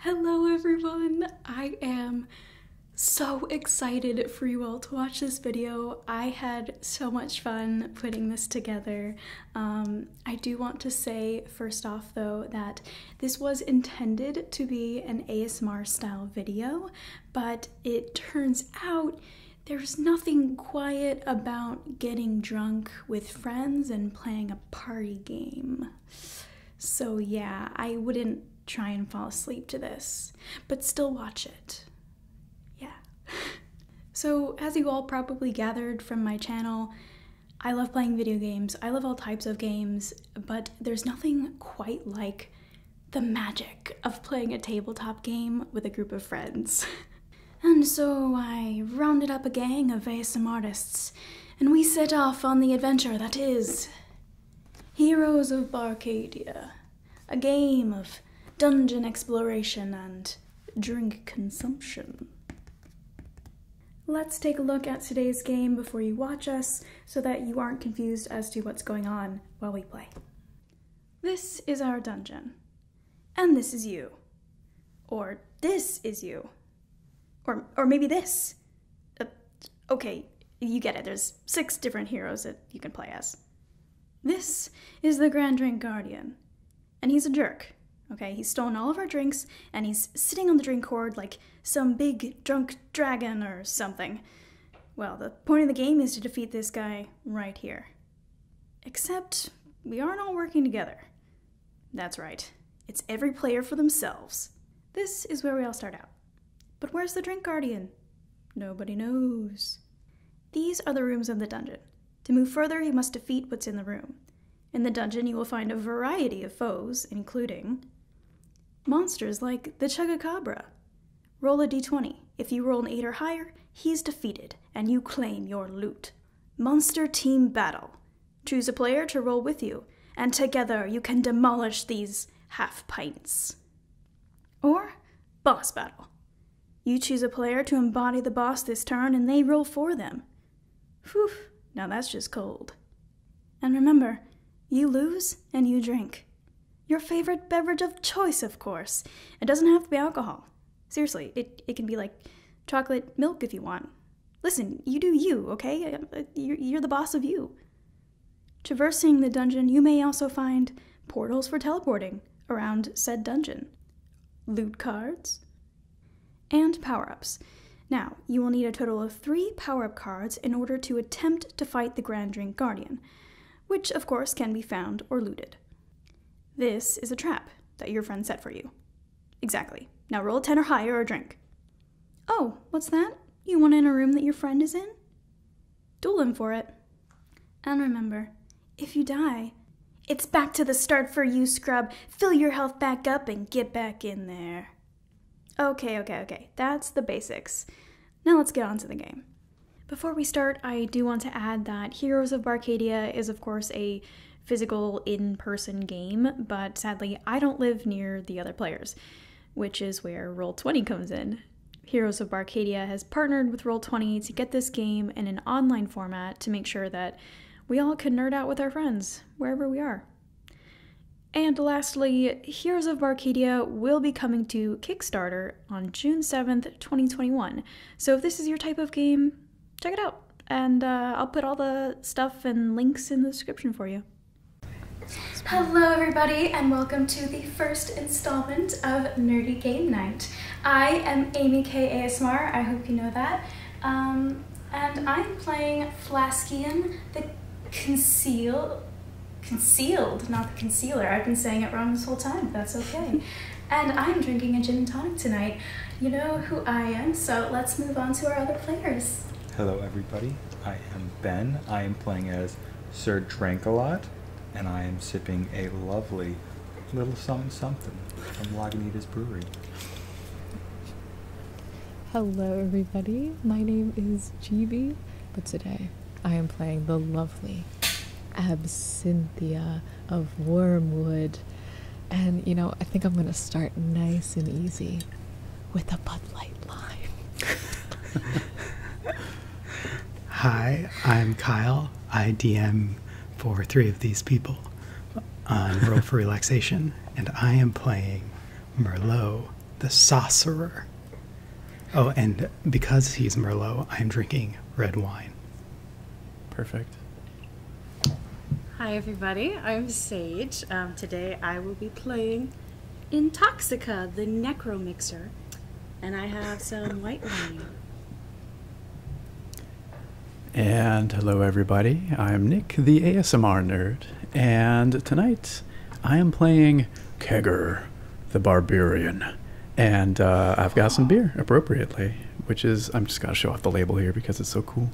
Hello, everyone! I am so excited for you all to watch this video. I had so much fun putting this together. Um, I do want to say, first off, though, that this was intended to be an ASMR style video, but it turns out there's nothing quiet about getting drunk with friends and playing a party game. So, yeah, I wouldn't try and fall asleep to this, but still watch it. Yeah. So, as you all probably gathered from my channel, I love playing video games. I love all types of games, but there's nothing quite like the magic of playing a tabletop game with a group of friends. and so I rounded up a gang of ASM artists and we set off on the adventure that is Heroes of Barcadia, a game of dungeon exploration and drink consumption. Let's take a look at today's game before you watch us so that you aren't confused as to what's going on while we play. This is our dungeon. And this is you. Or this is you. Or, or maybe this. Uh, okay, you get it. There's six different heroes that you can play as. This is the Grand Drink Guardian. And he's a jerk. Okay, he's stolen all of our drinks and he's sitting on the drink cord like some big drunk dragon or something. Well, the point of the game is to defeat this guy right here. Except we aren't all working together. That's right. It's every player for themselves. This is where we all start out. But where's the drink guardian? Nobody knows. These are the rooms of the dungeon. To move further, you must defeat what's in the room. In the dungeon, you will find a variety of foes, including monsters like the Chugacabra. Roll a d20. If you roll an 8 or higher, he's defeated, and you claim your loot. Monster Team Battle. Choose a player to roll with you, and together you can demolish these half pints. Or boss battle. You choose a player to embody the boss this turn, and they roll for them. Whew, now that's just cold. And remember, you lose and you drink. Your favorite beverage of choice, of course. It doesn't have to be alcohol. Seriously, it, it can be like chocolate milk if you want, Listen, you do you, okay? You're the boss of you. Traversing the dungeon, you may also find portals for teleporting around said dungeon, loot cards, and power ups. Now, you will need a total of three power up cards in order to attempt to fight the Grand Drink Guardian, which of course can be found or looted. This is a trap that your friend set for you. Exactly. Now roll a 10 or higher or drink. Oh, what's that? You want in a room that your friend is in? Duel him for it. And remember, if you die, it's back to the start for you, scrub. Fill your health back up and get back in there. Okay, okay, okay. That's the basics. Now let's get on to the game. Before we start, I do want to add that Heroes of Barcadia is, of course, a physical in person game, but sadly, I don't live near the other players which is where Roll20 comes in. Heroes of Barcadia has partnered with Roll20 to get this game in an online format to make sure that we all can nerd out with our friends wherever we are. And lastly, Heroes of Barcadia will be coming to Kickstarter on June 7th, 2021. So if this is your type of game, check it out. And uh, I'll put all the stuff and links in the description for you. Hello everybody and welcome to the first installment of Nerdy Game Night. I am Amy K. Asmar. I hope you know that, um, and I'm playing Flaskian the Conceal, Concealed, not the Concealer, I've been saying it wrong this whole time, that's okay. and I'm drinking a gin and tonic tonight. You know who I am, so let's move on to our other players. Hello everybody, I am Ben. I am playing as Sir Drankalot, and I am sipping a lovely little something something from Lagunitas Brewery. Hello, everybody. My name is GB, but today I am playing the lovely Absinthia of Wormwood. And you know, I think I'm gonna start nice and easy with a Bud Light Lime. Hi, I'm Kyle. IDM for three of these people on Roll for Relaxation, and I am playing Merlot the Sorcerer. Oh, and because he's Merlot, I'm drinking red wine. Perfect. Hi, everybody. I'm Sage. Um, today I will be playing Intoxica, the Necromixer, and I have some white wine. And hello, everybody. I'm Nick, the ASMR nerd, and tonight I am playing Kegger, the Barbarian, and uh, I've got some beer appropriately, which is I'm just gonna show off the label here because it's so cool.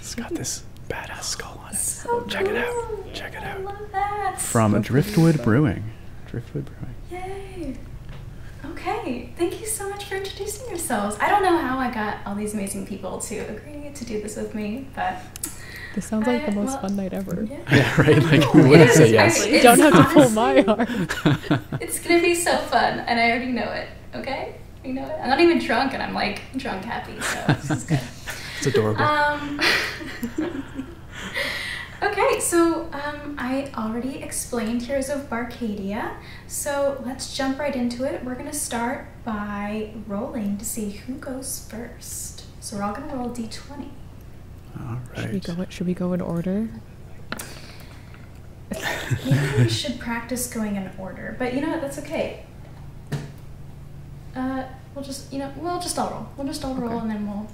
It's got this badass skull on it. Check it out. Check it out. From Driftwood Brewing. Driftwood Brewing. Yay. Okay. Thank you so much for introducing yourselves. I don't know how I got all these amazing people to agree to do this with me, but this sounds like the most fun night ever. Yeah, right. Like who would say yes? I, don't have to pull my heart. it's gonna be so fun, and I already know it. Okay, you know it. I'm not even drunk, and I'm like drunk happy, so it's adorable. Um, okay, so um, I already explained Heroes of Barcadia, so let's jump right into it. We're gonna start by rolling to see who goes first. So we're all gonna roll d20. All right. Should we go? Should we go in order? Maybe we should practice going in order, but you know what? That's okay. Uh, We'll just, you know, we'll just all roll. We'll just all roll okay. and then we'll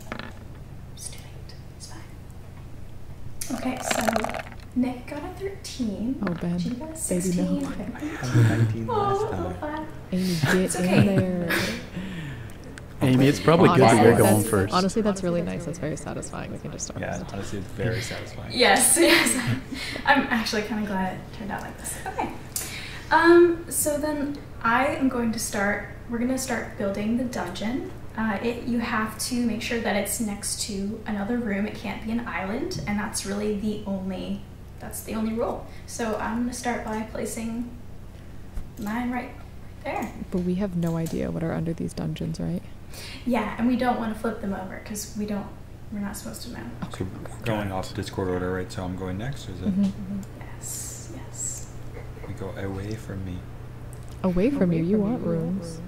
just do it. It's fine. Okay, so Nick got a 13. Oh, bad. She got a 16. Baby, no. I 19 last oh, time. Oh, Amy, get it's okay. in there. Amy, it's probably honestly, good that you're going first. Honestly, that's really nice. That's very satisfying. We can just start. Yeah, honestly, it's very satisfying. yes, yes. I'm actually kind of glad it turned out like this. Okay. Um, so then I am going to start, we're going to start building the dungeon. Uh, it, you have to make sure that it's next to another room. It can't be an island, and that's really the only, that's the only rule. So I'm going to start by placing mine right there. But we have no idea what are under these dungeons, right? Yeah, and we don't want to flip them over because we don't, we're not supposed to know. So going off Discord order, right? So I'm going next, is it? Mm-hmm, yes, yes. We go away from me. Away from you? you want rooms.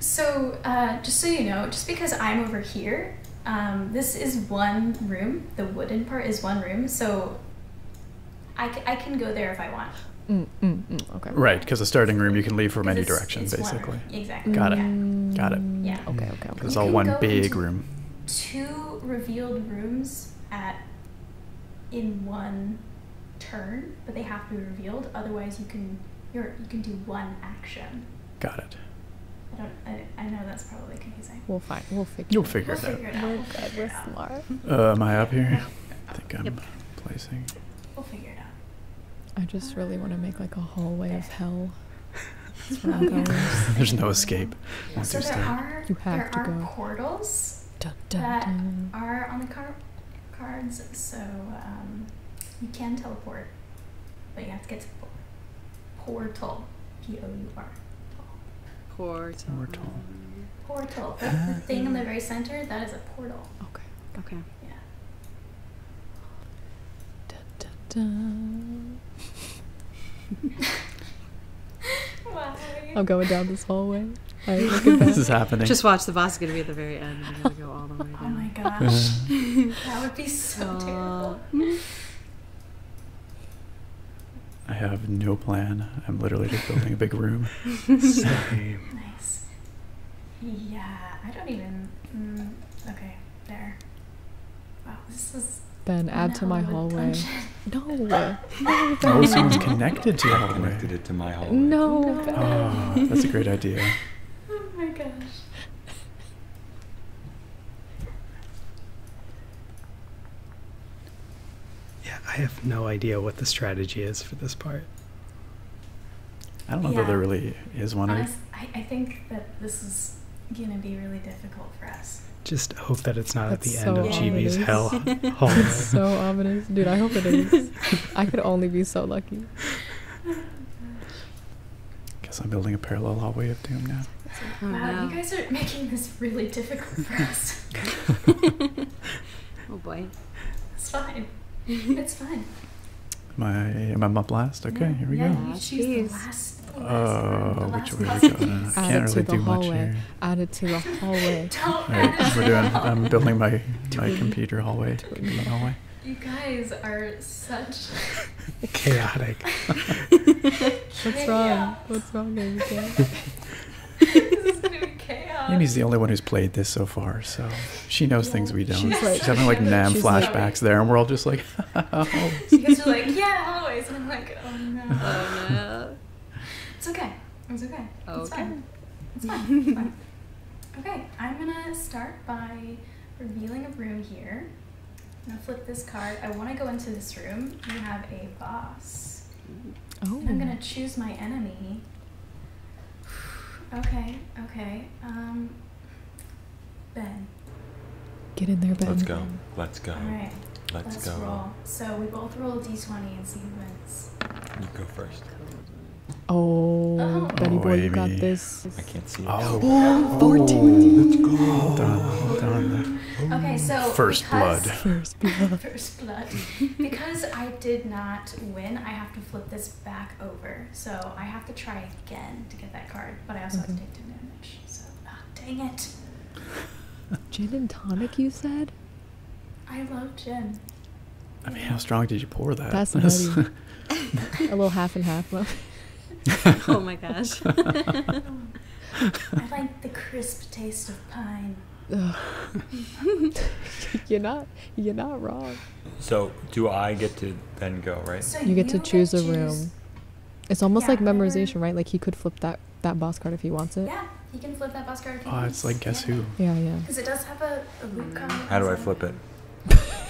So, uh, just so you know, just because I'm over here, um, this is one room. The wooden part is one room, so I, can go there if I want. Mm, mm, mm. okay. Right, because the starting room you can leave from any direction, basically. Exactly. Got it. Got it. Yeah. Okay. Okay. okay. It's all one big room. Two revealed rooms at in one turn, but they have to be revealed. Otherwise, you can you're, you can do one action. Got it. I don't. I, know that's probably confusing. We'll find. We'll figure. You'll figure, we'll figure it out. We're good. We're smart. Uh, am I up here? I think I'm placing. We'll figure it out. I just really want to make like a hallway of hell. There's no escape. Once so you there start. are you have there to are go. portals dun, dun, that dun. are on the car cards, so um, you can teleport, but you have to get to the portal. P O U R. Portal. Portal. Portal. The, ah. the thing in the very center that is a portal. Okay. Okay. Yeah. I'm going down this hallway. Right, this is happening. Just watch the boss is gonna be at the very end. We're gonna go all the way down. Oh my gosh, uh-huh. that would be so terrible. I have no plan. I'm literally just building a big room. Nice. Yeah, I don't even. Mm, okay, there wow, this is. Ben, add to my hallway. No. no ben. Oh, connected to hallway. Connected it to my hallway. No. Ah, that's a great idea. oh my gosh. Yeah, I have no idea what the strategy is for this part. I don't know that there really is one. I think that this is going to be really difficult for us. Just hope that it's not at the end of ominous. GB's hell. That's so ominous. Dude, I hope it is. I could only be so lucky. Guess I'm building a parallel hallway of doom now. wow, you oh, guys are making this really difficult for us. oh boy. It's fine. It's fine. Am I, am I up last? Okay, here we go. You choose last Oh, which way we going? I can't really do much here. Added to the hallway. we're doing, I'm building my, my computer hallway. Computer hallway. You guys are such chaotic. What's wrong? What's wrong, Abigail? this Amy's the only one who's played this so far, so she knows things we don't. She's, having like Nam flashbacks there, and we're all just like you guys are like, yeah, always. And I'm like, oh no. Oh, it's okay. It's okay. Oh, it's fine. It's fine. okay, I'm gonna start by revealing a room here. I'm gonna flip this card. I wanna go into this room. You have a boss. Oh. I'm gonna choose my enemy. okay, okay. Um, Ben. Get in there, Ben. Let's go. Let's go. let right. go. So we both roll d20 and see who wins. You go first. Oh, buddy oh. Benny oh, boy, you got this. I can't see it. Oh, oh 14. Oh, let's go. Okay, so. First blood. First blood. first blood. Because I did not win, I have to flip this back over. So I have to try again to get that card, but I also have to mm-hmm. take 10 damage. So, ah, dang it. Gin and tonic, you said? I love gin. I mean, how strong did you pour that? That's nutty. a little half and half. oh my gosh. I like the crisp taste of pine. you're not you're not wrong. So do I get to then go, right? you, get to choose a room. It's almost like memorization, right? Like he could flip that that boss card if he wants it. Yeah, he can flip that boss card. oh, it's like guess who? Yeah, yeah. Because it does have a, a mm. card. How do I flip it?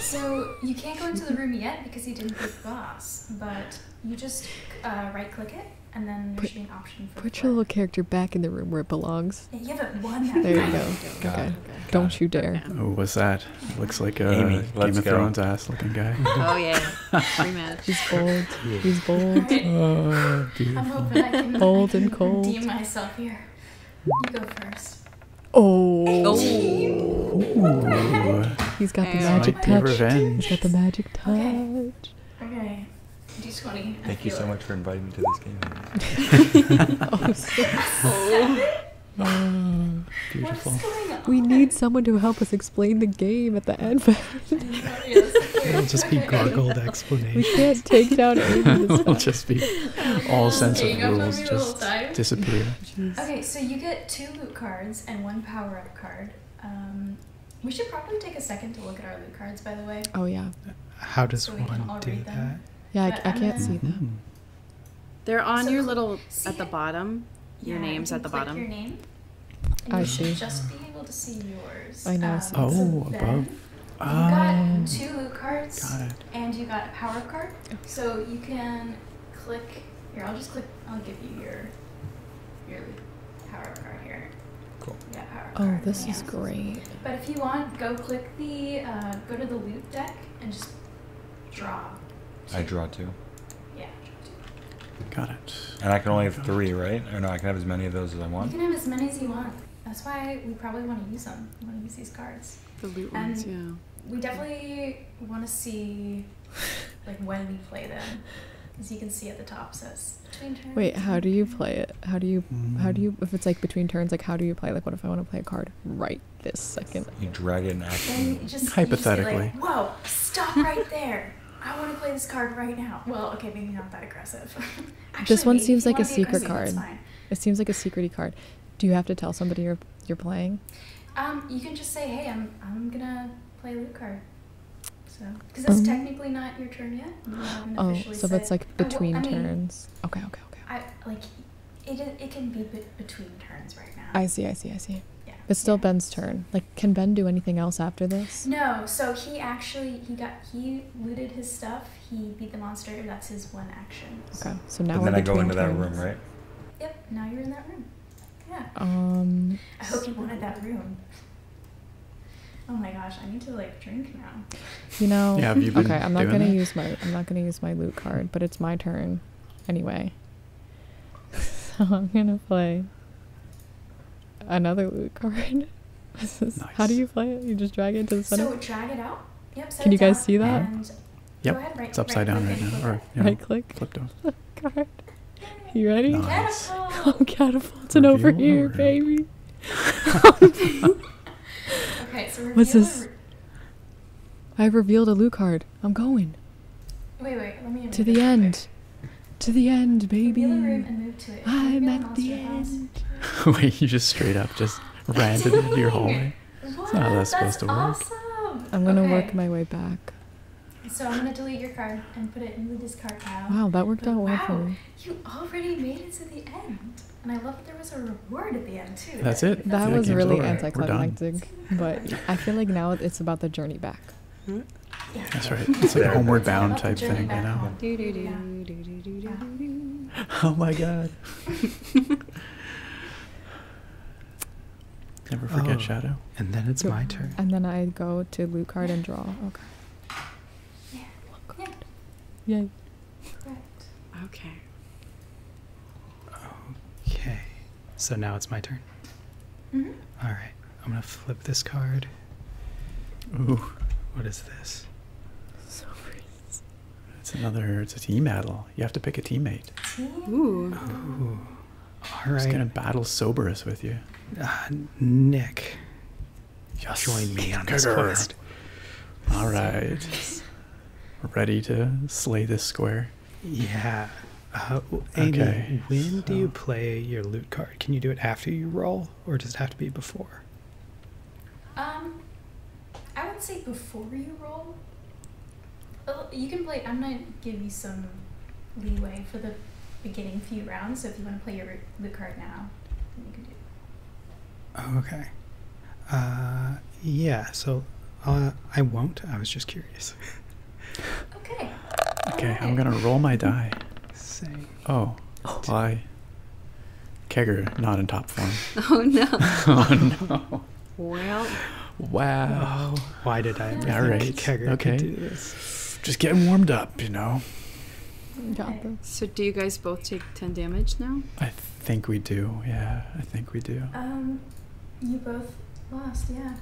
so you can't go into the room yet because he didn't pick boss, but you just uh, right click it and then put, your little character back in the room where it belongs. Yeah, but one. there you go. Okay. Don't you dare. Oh, what's that? Looks like a Game of Thrones ass looking guy. oh yeah. He's bold. He's bold. Oh, i bold and cold. redeem myself here. You go first. Oh. oh. He's got the magic touch. He's got the magic touch. Okay. D20. Thank you so much for inviting me to this game. Oh, oh. ah, beautiful. We need someone to help us explain the game at the end. It'll just be gargled explanations. We can't take down It'll just be all sense of rules just disappear. Okay, so you get two loot cards and one power up card. Um, we should probably take a second to look at our loot cards, by the way. Oh yeah. How does so one do that? Yeah, I, can't um, see them. Hmm. They're on your little at the bottom. your names at the bottom. I see. Just be able to see yours. I know. Um, oh, above. You ah. got two loot cards, got and you got a power card. Oh. So you can click here. I'll just click. I'll give you your your power card here. Cool. Yeah, power oh, this is great. But if you want, go click the uh, go to the loot deck and just draw. I draw too. Got it. And I can only have three, right? Or no, I can have as many of those as I want. You can have as many as you want. That's why we probably want to use them. We want to use these cards. The loot ones, yeah. We definitely want to see like when we play them. As you can see at the top says between turns. Wait, how do you play it? How do you how do you mm. if it's like between turns, like how do you play? Like what if I want to play a card right this second? You drag it in Just, Hypothetically. Whoa, stop right there. I want to play this card right now. Well, okay, maybe not that aggressive. this one seems like a secret card. It seems like a secrety card. Do you have to tell somebody you're you're playing? Um, you can just say, "Hey, I'm I'm gonna play loot card." So, because it's um, technically not your turn yet. oh, so if it's like between turns. Okay, okay, okay. I like it. It can be between turns right now. I see, I see, I see. Yeah. It's still Ben's turn. Like can Ben do anything else after this? No. So he actually he got he looted his stuff. He beat the monster. That's his one action. So. Okay. So now. And then I go into that room, right? Yep. Now you're in that room. Yeah. Um. I hope you wanted that room. Oh my gosh, I need to like drink now. You know. Yeah. Have you been okay. I'm not gonna use my I'm not gonna use my loot card, but it's my turn, anyway. so I'm gonna play another loot card. How do you play it? You just drag it to the center? So drag it out. Yep, Can you guys see that? Yep, it's upside down right, now. Or, right click. Flipped over. card. You ready? Nice. I'm oh, catapulting over here, baby. okay, so What's this? I have revealed a loot card. I'm going. Wait, wait, let me To the end. To the end, baby. I'm at the end. wait, you just straight up just ran into your hallway. What? That's, that's supposed to work. I'm gonna work my way back. So I'm gonna delete your card and put it in the discard pile. Wow, that worked out well for me. You already made it to the end. And I love that there was a reward at the end too. That's it. that was really anticlimactic. But I feel like now it's about the journey back. That's right. It's like a homeward bound type thing, you know? Oh my god. Never forget oh. Shadow. And then it's my turn. And then I go to loot card and draw. Okay. Yeah. Loot Yay. Okay. Okay. So now it's my turn. Mm-hmm. All right, I'm gonna flip this card. Ooh, what is this? So It's another. It's a team battle. You have to pick a teammate. Ooh. All I'm gonna battle Soberus with you. Uh, Nick. Yes. Join me on this quest. All right. Ready to slay this square? Yeah. Uh, okay, when do you play your loot card? Can you do it after you roll, or does it have to be before? Um, I would say before you roll. Oh, you can play. I'm gonna give you some leeway for the beginning few rounds. So if you want to play your loot card now, you can do. Okay. Uh, yeah. So uh, I won't. I was just curious okay. Okay, I'm gonna roll my die. Say. Oh, oh. why? I. Kegger not in top form. Oh no. oh no. Well. Wow. why did I ever All right. Kegger okay. do this? Just getting warmed up, you know. Got them. So do you guys both take ten damage now? I think we do. Yeah, I think we do. Um, you both lost. Yeah.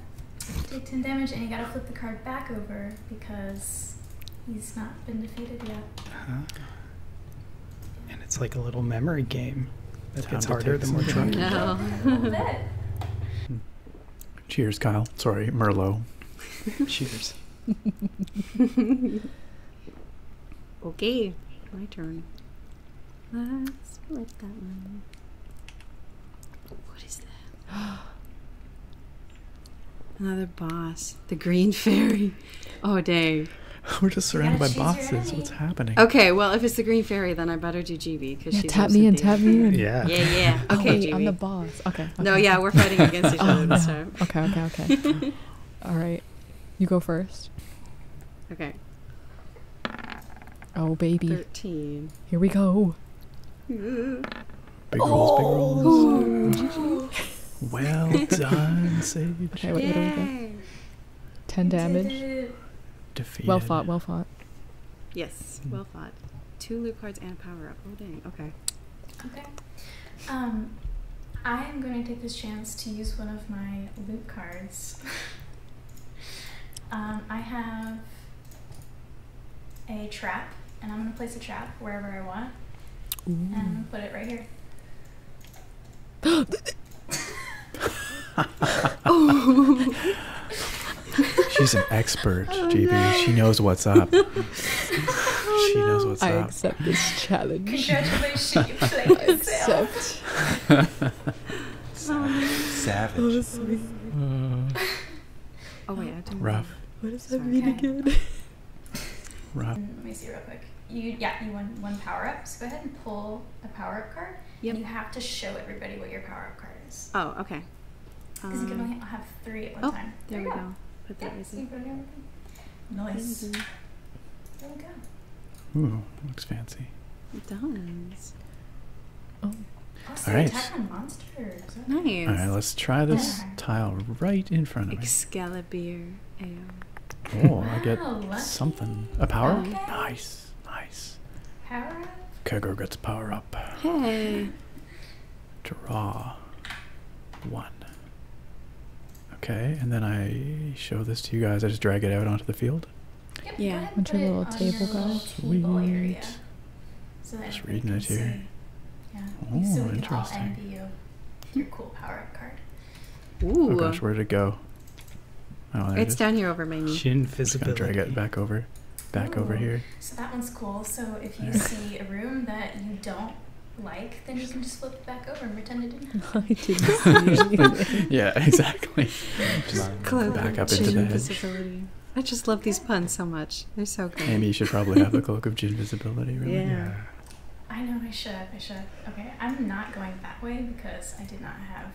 Take 10 damage, and you gotta flip the card back over because he's not been defeated yet. Uh-huh. And it's like a little memory game that gets harder the more drunk you get. Cheers, Kyle. Sorry, Merlo. Cheers. okay, my turn. Let's select that one. What is that? Another boss. The green fairy. Oh, Dave. We're just surrounded by bosses. What's happening? Okay, well, if it's the green fairy, then I better do GB because yeah, she's tap me and tap me in. Yeah, yeah, yeah. Okay, oh, I'm the boss. Okay, No, yeah, we're fighting against each oh, other Okay, okay, okay. All right, you go first. Okay. Oh baby. Thirteen. Here we go. Big rolls, big rolls. Oh. well done, Sage. Okay, wait, yeah. what 10 damage. Defeated. Well fought, well fought. Yes, well fought. Two loot cards and a power up. Oh, dang. Okay. Okay. Um, I am going to take this chance to use one of my loot cards. um, I have a trap, and I'm going to place a trap wherever I want. And I'm going to put it right here. oh. She's an expert, oh, GB. She knows what's up. Oh, she knows what's I up. I accept this challenge. Congratulations, I accept. Savage. Savage. Oh wait, I did Rough. What does that mean again? Rough. Let me see real quick. You yeah, you won one power up. So go ahead and pull a power up card. Yep. You have to show everybody what your power up card is. Oh okay. Because you can um, only have three at one oh, time. There, there we go. Nice. There we go. Ooh, looks fancy. It does. Oh. Also All right. Monsters. Nice. All right, let's try this tile right in front of me. Excalibur. Oh, I get something. A power? Okay. Nice. Nice. Power up. Kegger gets power up. Hey. Draw one. Okay, and then I show this to you guys. I just drag it out onto the field. Yeah. A bunch of little table guys. Weird. So that Just reading it here. Yeah. Oh, interesting. your cool power card. Oh gosh, where'd it go? Oh, it's down here over my knee. Shin I'm gonna drag it back over, back over here. So that one's cool. So if you see a room that you don't like, then you can just flip it back over and pretend it didn't happen. yeah, exactly. just back up into the I just love these puns so much. They're so good. Amy, you should probably have the cloak of invisibility. really. Yeah. I know I should. I should. Okay, I'm not going that way because I did not have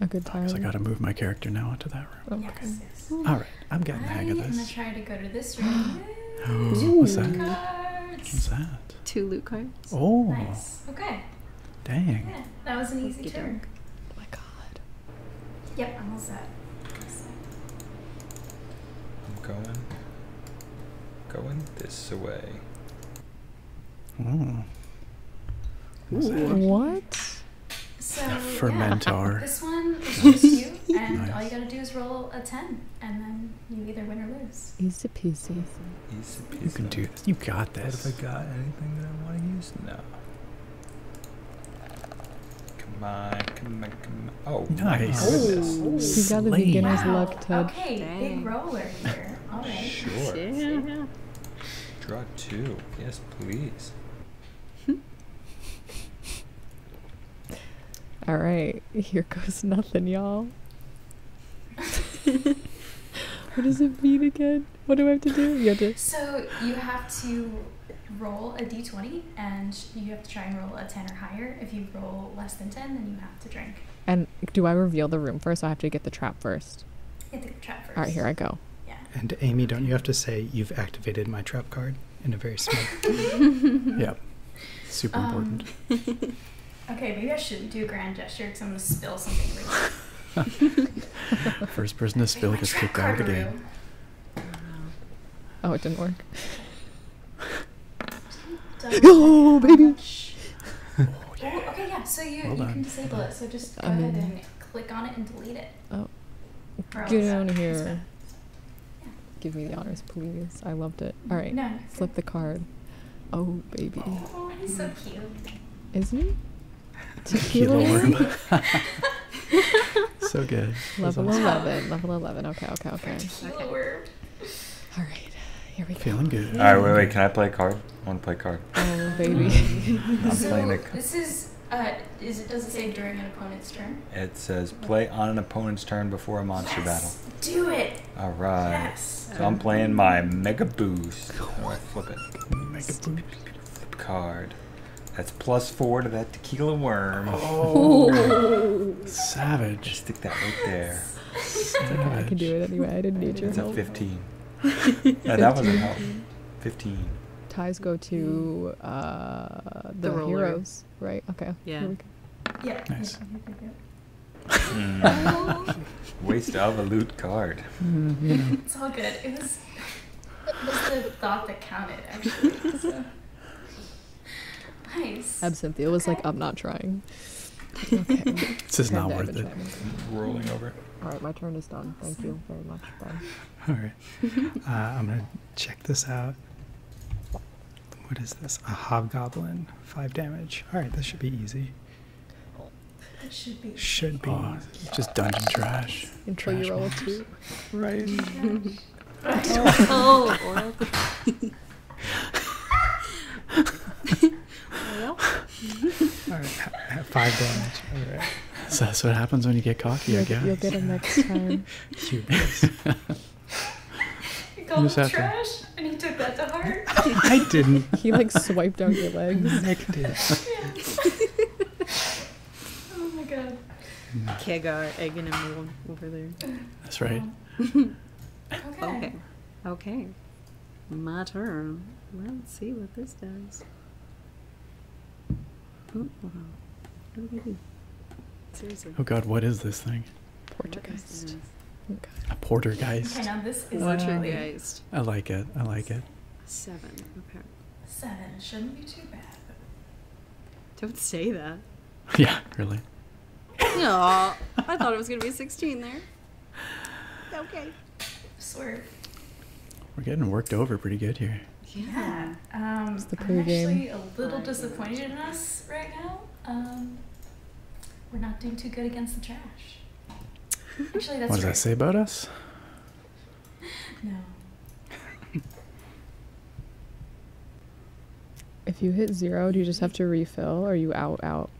a good time. Oh, because I got to move my character now onto that room. Yes, All right, I'm getting the hang of this. I'm gonna try to go to this room. oh, what's that? Cards. What's that? Two loot cards. Oh. Nice. Okay. Dang. that was an easy Okey turn. Oh my god. Yep, I'm all set. I'm going, going this way. Mm. What? So, Fermentar. this one and all you gotta do is roll a 10, and then you either win or lose. Easy peasy. You can do this. You got this. if I got anything that I want to use? No. Come on, come on, come on. Oh, nice. Oh, you got the beginner's luck touch. Okay, big roller here. Sure. Draw two. Yes, please. All right, here goes nothing, y'all. what does it mean again? What do I have to do? You have to. So you have to roll a d20 and you have to try and roll a 10 or higher. If you roll less than 10, then you have to drink. And do I reveal the room first? I have to get the trap first. All right, here I go. Yeah. And Amy, don't you have to say you've activated my trap card in a very smart. yeah. Super um, important. Um, okay, maybe I shouldn't do a grand gesture because I'm going to spill something First person to spill gets kicked out of the game. Oh, it didn't work. oh, baby! oh, okay, yeah, so you, you can disable it, so just go um, ahead and click on it and delete it. Oh. Get out of here. Give me the honors, please. I loved it. Mm-hmm. Alright, no, flip the card. Oh, baby. Oh, he's so cute. Isn't he? Tequila worm. so good. Level 11. Level 11. Okay, okay, okay. All right. Here we go. Feeling good. All right, wait, wait. Can I play a card? I want to play a card. Oh, baby. Um, I'm playing a card. This is. Uh, is it does it say during an opponent's turn? It says play on an opponent's turn before a monster battle. Do it. All right. Yes. So I'm playing my mega boost. All right, flip it. Flip card. That's plus four to that tequila worm. Oh, savage! stick that right there. I can do it anyway. I didn't need you. That's a fifteen. that wasn't help. Fifteen. Ties go to hmm. uh, the, heroes, right? Okay. Yeah. Yeah. Nice. Hmm. Waste of a loot card. Mm-hmm. It's all good. It was, it was the thought that counted, actually nice. Absinthia was like, I'm not trying. this is not worth it. Rolling over. All right, my turn is done. Thank you very much. Bye. All right. Uh, I'm going to check this out. What is this? A hobgoblin. Five damage. All right, this should be easy. That should be. Should be. just dungeon trash. Until you roll a two. Right oh, oil. oil. All right, five damage. All right. So that's what happens when you get cocky, you'll, I guess. You'll get him next time. you called him trash, to... and he took that to heart. I didn't. He like swiped out your legs. Nick did. Yeah. Oh my god. Kegar egging him over there. That's right. okay. okay. My turn. Let's see what this does. Oh, god, what is this thing? Portergeist. Oh a portergeist. now this is portergeist. I like it. I like it. Seven. Okay. Seven shouldn't be too bad. Don't say that. Yeah, really. No, I thought it was gonna be 16 there. Okay. Swerve. We're getting worked over pretty good here. Yeah. Um, I'm actually a little disappointed in us right now. Um, we're not doing too good against the trash. Actually, that's what does that say about us? No. If you hit zero, do you just have to refill or are you out out?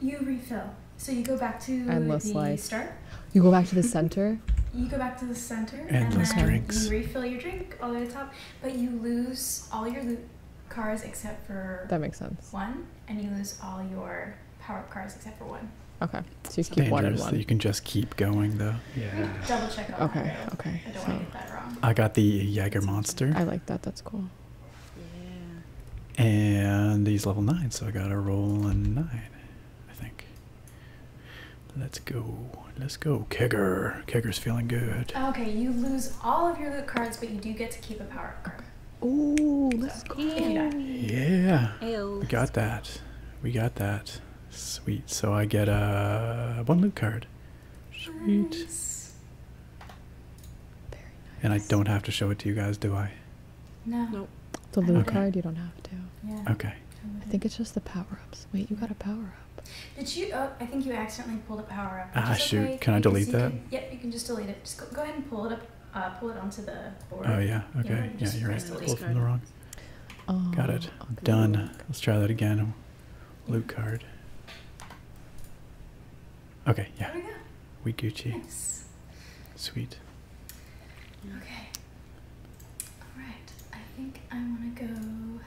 You refill. So you go back to Endless the start. You go back to the center. you go back to the center and then you refill your drink all the way to the top, but you lose all your loot cards except for That makes sense. one, and you lose all your power up cars except for one. Okay. So Dangerous that you can just keep going though yeah. Double check okay, Okay, I don't so want to get that wrong. I got the Jaeger Monster. I like that. That's cool. Yeah. And he's level 9, so I got to roll a 9, I think. Let's go. Let's go. Kegger. Kegger's feeling good. Okay, you lose all of your loot cards, but you do get to keep a power card. Oh, let's go. Yeah. yeah. We got that. We got that. Sweet. So I get a uh, one loot card. Sweet. And I don't have to show it to you guys, do I? No. Nope. The loot okay. card, you don't have to. Yeah. Okay. I think it's just the power ups. Wait, you got a power up. Did you? Oh, I think you accidentally pulled a power up. Ah, shoot. Can I delete that? yep, you can just delete it. Just go, ahead and pull it up. Uh, pull it onto the board. Oh, yeah. Okay. Yeah, you're right. Pulled from the wrong. Oh, got it. Um, okay. Done. Let's try that again. Blue card. Okay, yeah. There We Gucci. Nice. Sweet. Okay. Alright, I think I want to go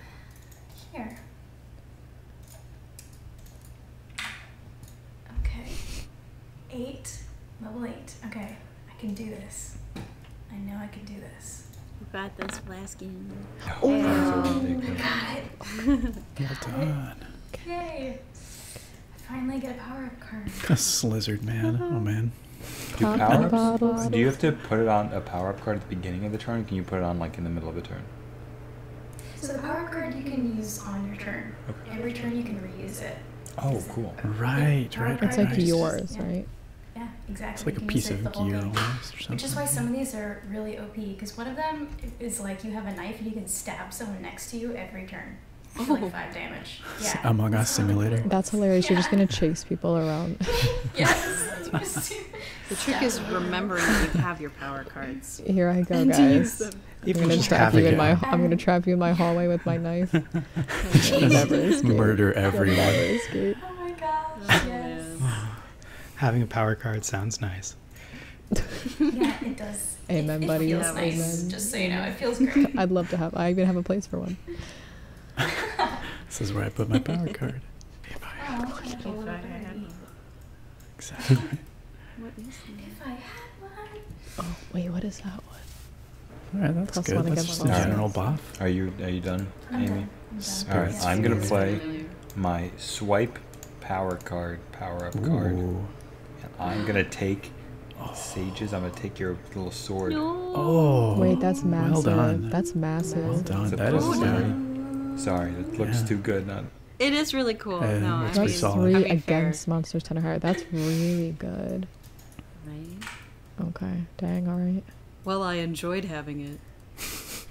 here. Okay. Eight. Level eight. Okay, I can do this. I know I can do this. You got this, Blaskin. Oh, Ew. Ew. got it. well done. Yay. I finally get a power-up card. A slizzard, man. Oh, uh-huh. man. Do power Do you have to put it on a power up card at the beginning of the turn? Can you put it on like in the middle of a turn? So the power up card you can use on your turn. Okay. Every turn you can reuse it. Oh, cool! Right, right, It's like yours, right? Yeah, exactly. It's like a piece of gear or something. Which is why some of these are really OP because one of them is like you have a knife and you can stab someone next to you every turn. Oh. five damage. Yeah. Among Us simulator. That's hilarious. You're just gonna chase people around. yes. the trick is remembering that you have your power cards. Here I go, guys. I'm gonna trap you in my. I'm gonna trap you in my hallway with my knife. Murder everyone. Oh my gosh. having a power card sounds nice. yeah, it does. Amen, buddy. Amen. Just so you know, it feels great. I'd love to have. I even have a place for one. this is where I put my power card. Oh, exactly. If I had one. Oh wait, what is that one? All right, that's Plus good. That's just a general buff. Are you are you done, Amy? All right, I'm gonna play my swipe power card, power up card, I'm gonna take sages. I'm gonna take your little sword. Oh, wait, that's massive. That's massive. Sorry, that looks too good. Not... It is really cool. Uh, no, I mean, solid. really I mean, against Monsters Tender Heart. That's really good. Right. Okay. Dang. All right. Well, I enjoyed having it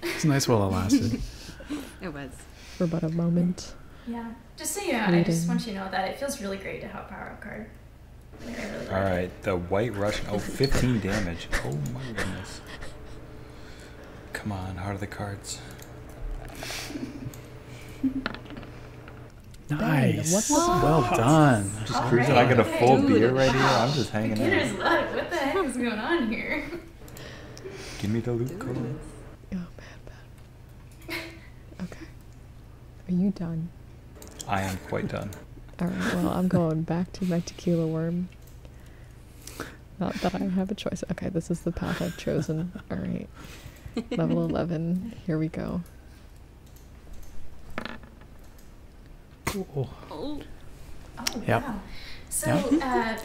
it's nice while it lasted. it was. For about a moment. Yeah. Just so you know, I just want you to know that it feels really great to have power card. All right, the White rush. Oh, 15 damage. Oh my goodness. Come on, Heart of the Cards. Nice. well done. I'm just All cruising. I got a full beer right here. I'm just hanging Computers out. Look, what the heck is going on here? Give me the loot code. Oh, bad, bad. Okay. Are you done? I am quite done. Alright, well, I'm going back to my tequila worm. Not that I have a choice. Okay, this is the path I've chosen. Alright. Level 11. Here we go. Ooh. Oh. Oh, yep. wow. So, uh,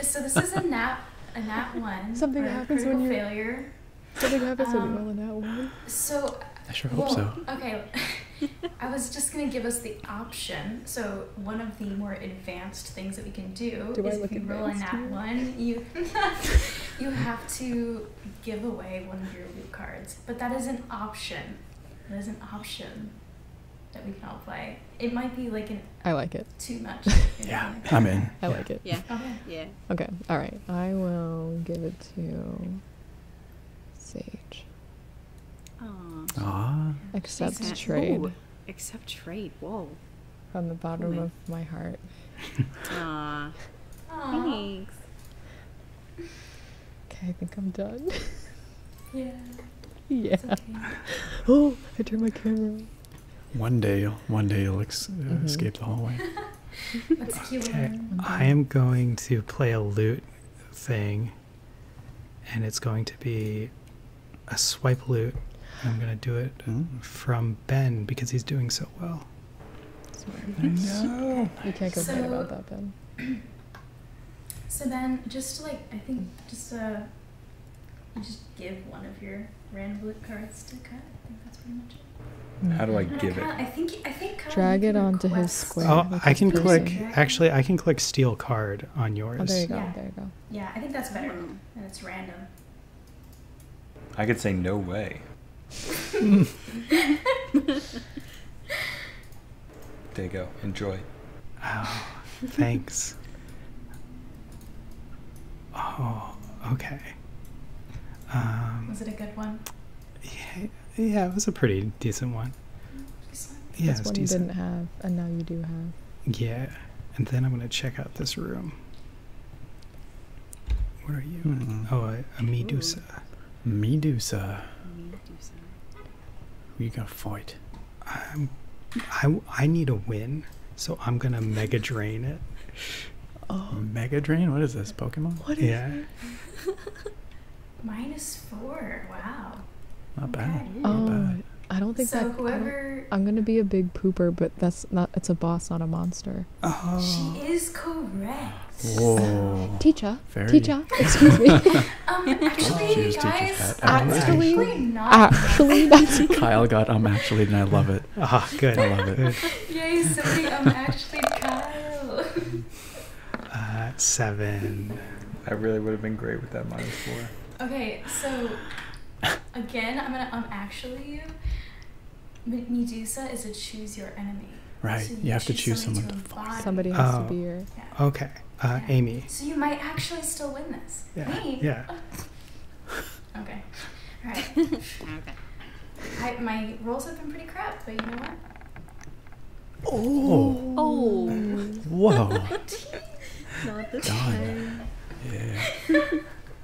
so this is a nat a nat one. Something happens when you failure. Something happens um, when you roll a nat one. So. I sure hope so. Okay. I was just going to give us the option. So one of the more advanced things that we can do, do is if you roll a nat one, you you have to give away one of your loot cards. But that is an option. That is an option that we can all play. It might be like an. I like it. Too much. yeah, I'm in. I like it. Yeah. Okay. Yeah. Okay. All right. I will give it to Sage. Aww. Aww. Accept trade. accept trade. Whoa. From the bottom of my heart. Aww. Thanks. Okay, I think I'm done. yeah. Yeah. Oh, I turned my camera. On. One day, one day you'll uh, mm-hmm. escape the hallway. okay. I am going to play a loot thing, and it's going to be a swipe loot. I'm going to do it hmm? from Ben because he's doing so well. I You can't complain about that, Ben. So then, just like I think, just uh, just give one of your random cards to cut. I think that's pretty much How do I give it? I think I think oh, drag it onto his square. Oh, I can click. Actually, I can click steal card on oh, yours. Yeah. There you go. Yeah, I think that's better, mm. and it's random. I could say no way. There you go. Enjoy. Oh, thanks. oh, okay. Um, was it a good one? Yeah, yeah, it was a pretty decent one. Yeah, this one didn't have, and now you do have. Yeah, and then I'm gonna check out this room. What are you? Hmm. Oh, a, a Medusa. Medusa. Medusa. We gonna fight. I'm, um, I I need a win, so I'm gonna mega drain it. Oh, mega drain! What is this Pokemon? What is yeah. Minus four. Wow. Not bad. not oh, bad. I don't think that. I'm gonna be a big pooper, but that's not. It's a boss, not a monster. Oh. She is correct. Whoa. Teacher. Teacher. Excuse me. Um, actually, oh, guys, actually, not. Actually, not. Kyle got um actually, and I love it. Ah, good. I love it. Yay, I'm actually, Kyle. Uh, seven. I really would have been great with that minus four. Okay, so again, I'm gonna I'm actually you. Medusa is a choose your enemy. Right, you, have to choose someone. Somebody has to be oh. your. Okay. Uh, Amy. So you might actually still win this. Yeah. Yeah. Oh. okay. All right. okay. my rolls have been pretty crap, but you know what? Oh. Oh. Whoa. Not the time. Yeah.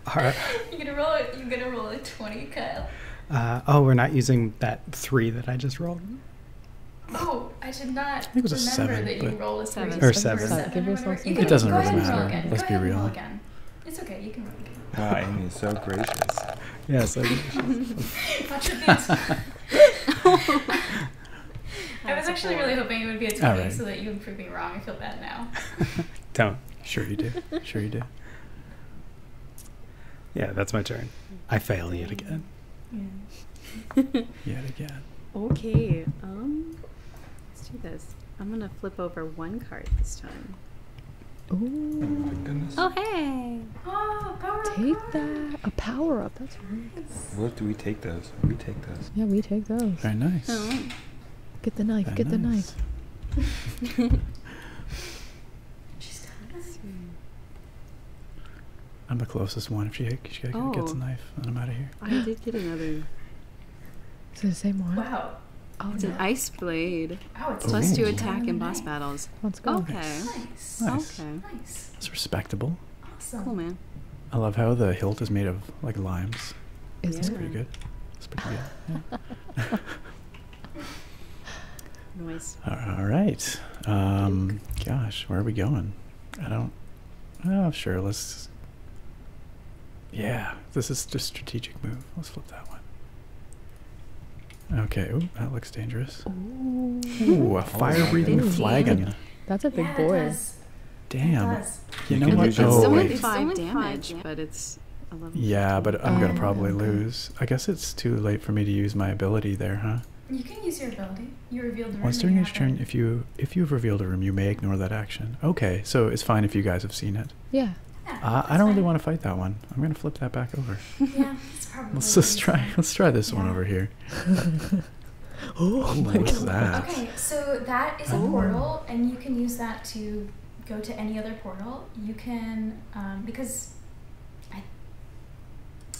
All right. You're gonna roll. You're gonna roll a twenty, Kyle. Uh, oh, we're not using that three that I just rolled. Oh, I did not I think it was a seven, that you but- a seven. Or seven. It doesn't go really ahead matter. again. Let's Go be real. again. It's okay. You can roll again. Wow, Amy is so gracious. Yeah, so Watch I was actually really hoping it would be a 20 All right. so that you would prove me wrong. I feel bad now. don't. Sure you do. Sure you do. Yeah, that's my turn. I fail yet again. Yeah. Yet again. Okay. Um, let's do this. I'm gonna flip over one card this time. Oh my goodness. Oh hey. Oh, power take that. A power up. That's nice. What do we take those? We take those. Yeah, we take those. Very nice. Oh. Get the knife. get the knife. She's knife. I'm the closest one. If she, she gets a knife, then I'm out of here. I did get another. It's the same one? Wow. Oh, it's oh, an ice blade. Oh, it's plus two attack in boss battles. Let's go. Okay. Nice. nice. Okay. Nice. It's respectable. Awesome. Cool, man. I love how the hilt is made of like limes. Is it's yeah. pretty good. It's pretty good. nice. All right. Um, gosh, where are we going? I don't. Oh, sure. Let's. Yeah, this is just strategic move. Let's flip that one. Okay. Ooh, that looks dangerous. Ooh, a fire-breathing oh, flagon. That's a big yeah, boy. Damn. You, know what? Oh, wait. Five damage, but it's. Yeah, but I'm gonna oh, probably lose. I guess it's too late for me to use my ability there, huh? You can use your ability. Once during each turn, if you if you've revealed a room, you may ignore that action. Okay, so it's fine if you guys have seen it. Yeah. I don't really want to fight that one. I'm gonna flip that back over. yeah, it's probably. Let's try. Let's try this one over here. oh my God. Okay, so that is a oh. portal, and you can use that to go to any other portal. You can um, because I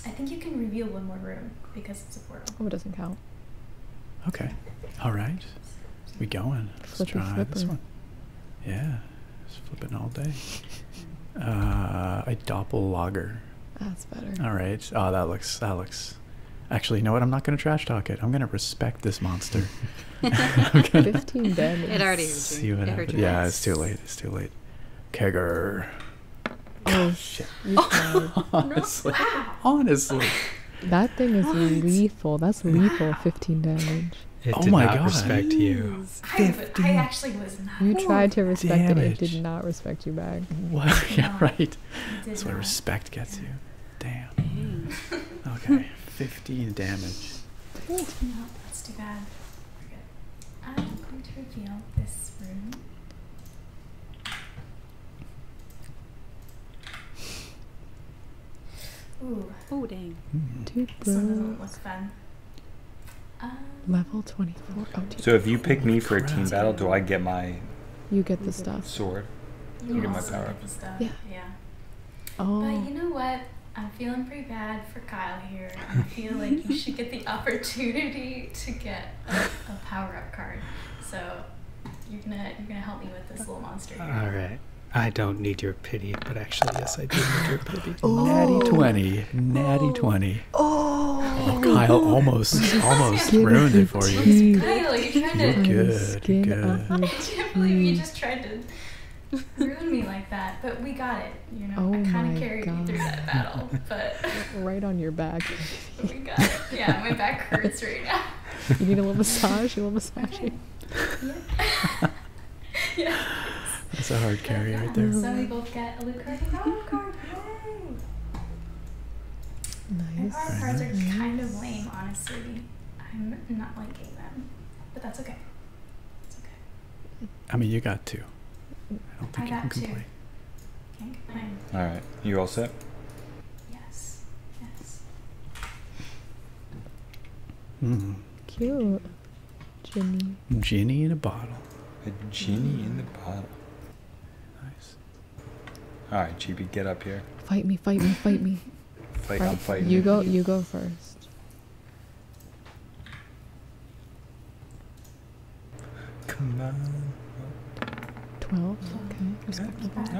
I think you can reveal one more room because it's a portal. Oh, it doesn't count. Okay. All right. We going. Let's try this one. Yeah. Just flipping all day. Uh, a doppel lager. That's better. All right. Oh, that looks. That looks. Actually, you know what? I'm not going to trash talk it. I'm going to respect this monster. Fifteen damage. It already. See what happens. Yeah, it's too late. It's too late. Kegger. Oh, shit. honestly. Honestly. That thing is lethal. That's lethal. Fifteen damage. It oh did my not God. respect you. I, I, actually was not. You tried to respect damage. it. It did not respect you back. What? yeah, right. That's why respect gets you. Damn. okay. Fifteen damage. No, that's too bad. I'm going to reveal this room. Ooh. holding. dang. Mm. Two broke. was fun. Um, Level 24. so if you pick me for a team battle, do I get my... You get the stuff. Sword. You, get my power up. Yeah. yeah. Oh. But you know what? I'm feeling pretty bad for Kyle here. I feel like you should get the opportunity to get a power up card. So you're gonna you're gonna help me with this little monster. All right. I don't need your pity, but actually, yes, I do need your pity. Oh. Natty twenty, natty oh. twenty. Oh, oh Kyle almost almost ruined it for you. Kyle, you're trying to. good, you're good. I can't believe you just tried to ruin me like that, but we got it. You know, oh I kind of carried God. you through that battle, but right on your back. Oh my god. Yeah, my back hurts right now. You need a little massage? You will massage okay. you? Yeah. That's a hard carry right there. So we both got a Luke card Nice. Our cards are kind of lame, honestly. I'm not liking them, but that's okay. It's okay. I mean, you got two. I don't think I you can complain. All right, you all set? Yes. Yes. Mm. Cute. Ginny. Ginny in a bottle. A ginny in the bottle. Nice. All right, GB, get up here. Fight me! Fight me! Fight me! fight, fight. I'm fighting. You go. You go first. Come on. Twelve. Okay.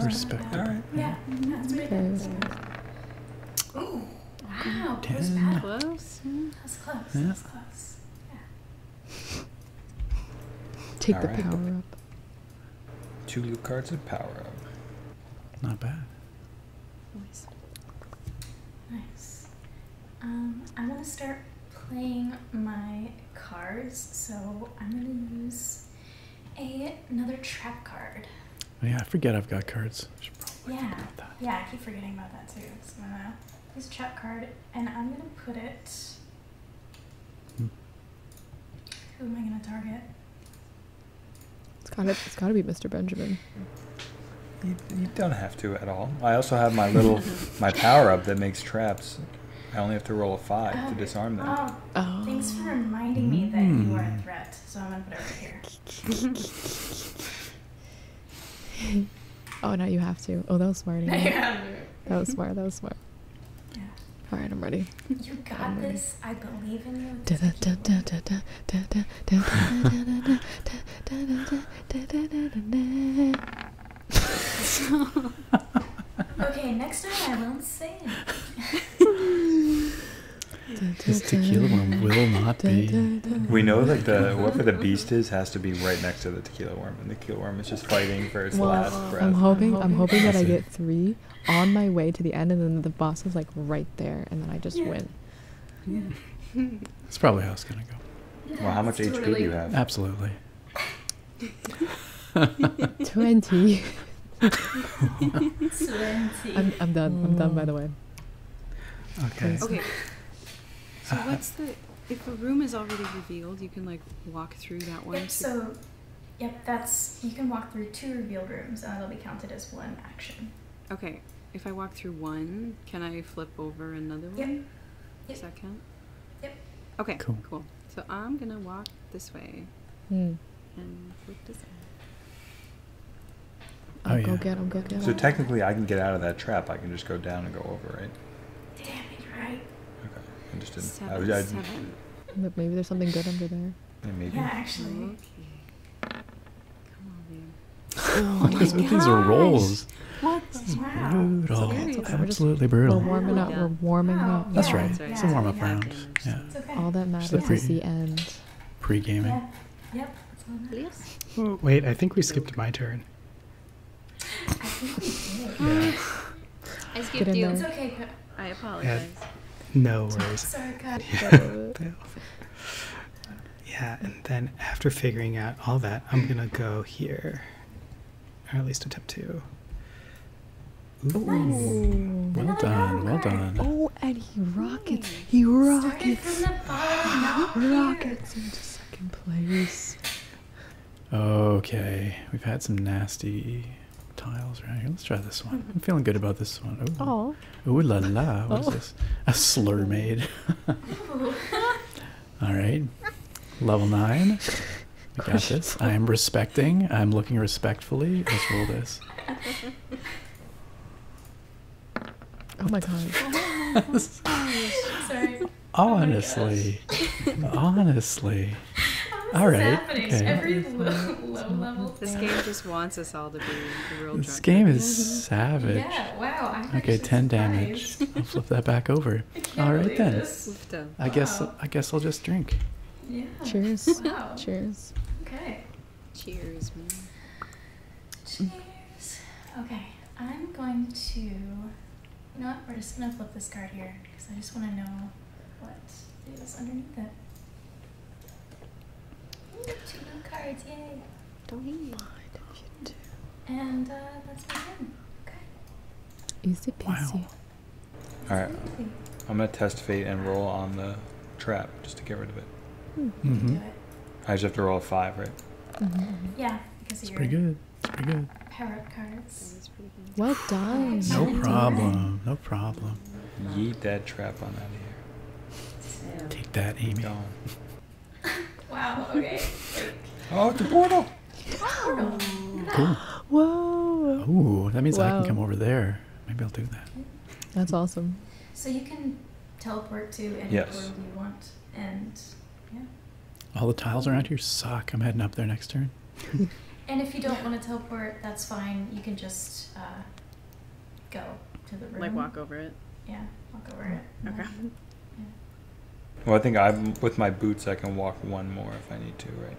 Respectable. All right. Yeah. That's Wow. Ten. Close. That's close. Yeah. That's close. Yeah. Take the power up. Two new cards of power up. Not bad. Nice. Nice. Um, I want to start playing my cards, so I'm gonna use a, another trap card. Oh, yeah, I forget I've got cards. yeah, yeah, I keep forgetting about that too. So a trap card, and I'm gonna put it. Hmm. Who am I gonna target? It's gotta, it's gotta be Mr. Benjamin. you don't have to at all. I also have my little my power up that makes traps I only have to roll a five to disarm them. Oh, Thanks for reminding me that you are a threat, so I'm gonna put it right here. oh, no, you have to. Oh, that was smart. Yeah. that was smart. That was smart. Yeah. All right, I'm ready. You got this. I believe in you okay, next time I won't say it. tequila worm will not be. We know that the whatever the beast is has to be right next to the tequila worm, and the tequila worm is just fighting for its last breath. I'm hoping, I'm hoping that I get three on my way to the end, and then the boss is like right there, and then I just win. That's probably how it's gonna go. well, how much HP do you have? Absolutely. 20. 20. I'm, done. I'm done, by the way. Okay. Okay. So, uh, what's the. If the room is already revealed, you can, like, walk through that one. so, yep, that's. You can walk through two revealed rooms, and it will be counted as one action. Okay. If I walk through one, can I flip over another one? Yep. yep. Does that count? Yep. Okay. Cool. Cool. So I'm gonna walk this way. Mm. And flip this way. Oh, yeah. Go get him, get him. So technically, I can get out of that trap. I can just go down and go over, right? Damn it, right? Okay. I just didn't. Seven, I, was, I, seven. Look, maybe there's something good under there. maybe. Yeah, actually. Okay. Come on, man. oh, my gosh. These are rolls. What? Wow. Brutal. Absolutely brutal. We're warming oh, up. We're warming up. That's right right. it's a warm up round. Yeah. All that matters is the end. Pre gaming. Yep. Oh, wait, I think we skipped my turn. I skipped you. It's okay. I apologize. No worries. Sorry, God. Yeah. yeah, and then after figuring out all that, I'm gonna go here, or at least attempt to. Ooh, Well done, well done. Oh, and he rockets. He rockets. rockets into second place. Okay, we've had some nasty tiles around here. Let's try this one. I'm feeling good about this one. Oh, ooh la la. What oh. this? A slur made. All right, level nine. I am respecting. I'm looking respectfully. Let's roll this. Oh my god. Sorry. honestly. honestly. All right. Okay. this game just wants us all to be real. This game is savage. Yeah. Wow. okay. Ten damage. I'll flip that back over. All right then. I guess I guess I'll just drink. Yeah. Cheers. Cheers. Okay. Cheers, Cheers. Okay, I'm going to. You know what? We're just gonna flip this card here because I just want to know what is underneath it. Ooh, two new cards, yay! Don't mind if you do. And uh, that's my turn. Okay. Easy peasy. Alright. I'm going to test fate and roll on the trap just to get rid of it. Hmm. Mm-hmm. I just have to roll a five, right? Mm-hmm. Yeah, because it's pretty good. It's pretty good. What does? No problem. No problem. Eat that trap on out of here. Take that, Amy. wow. Okay. oh, the portal. Whoa! Ooh, that means I can come over there. Maybe I'll do that. That's awesome. So you can teleport to anywhere you want, and yeah. All the tiles around here suck. I'm heading up there next turn. and if you don't want to teleport, that's fine. You can just uh, go to the room. Like walk over it. Yeah, walk over it. Mm-hmm. Okay. Well, I think I'm with my boots. I can walk one more if I need to, right?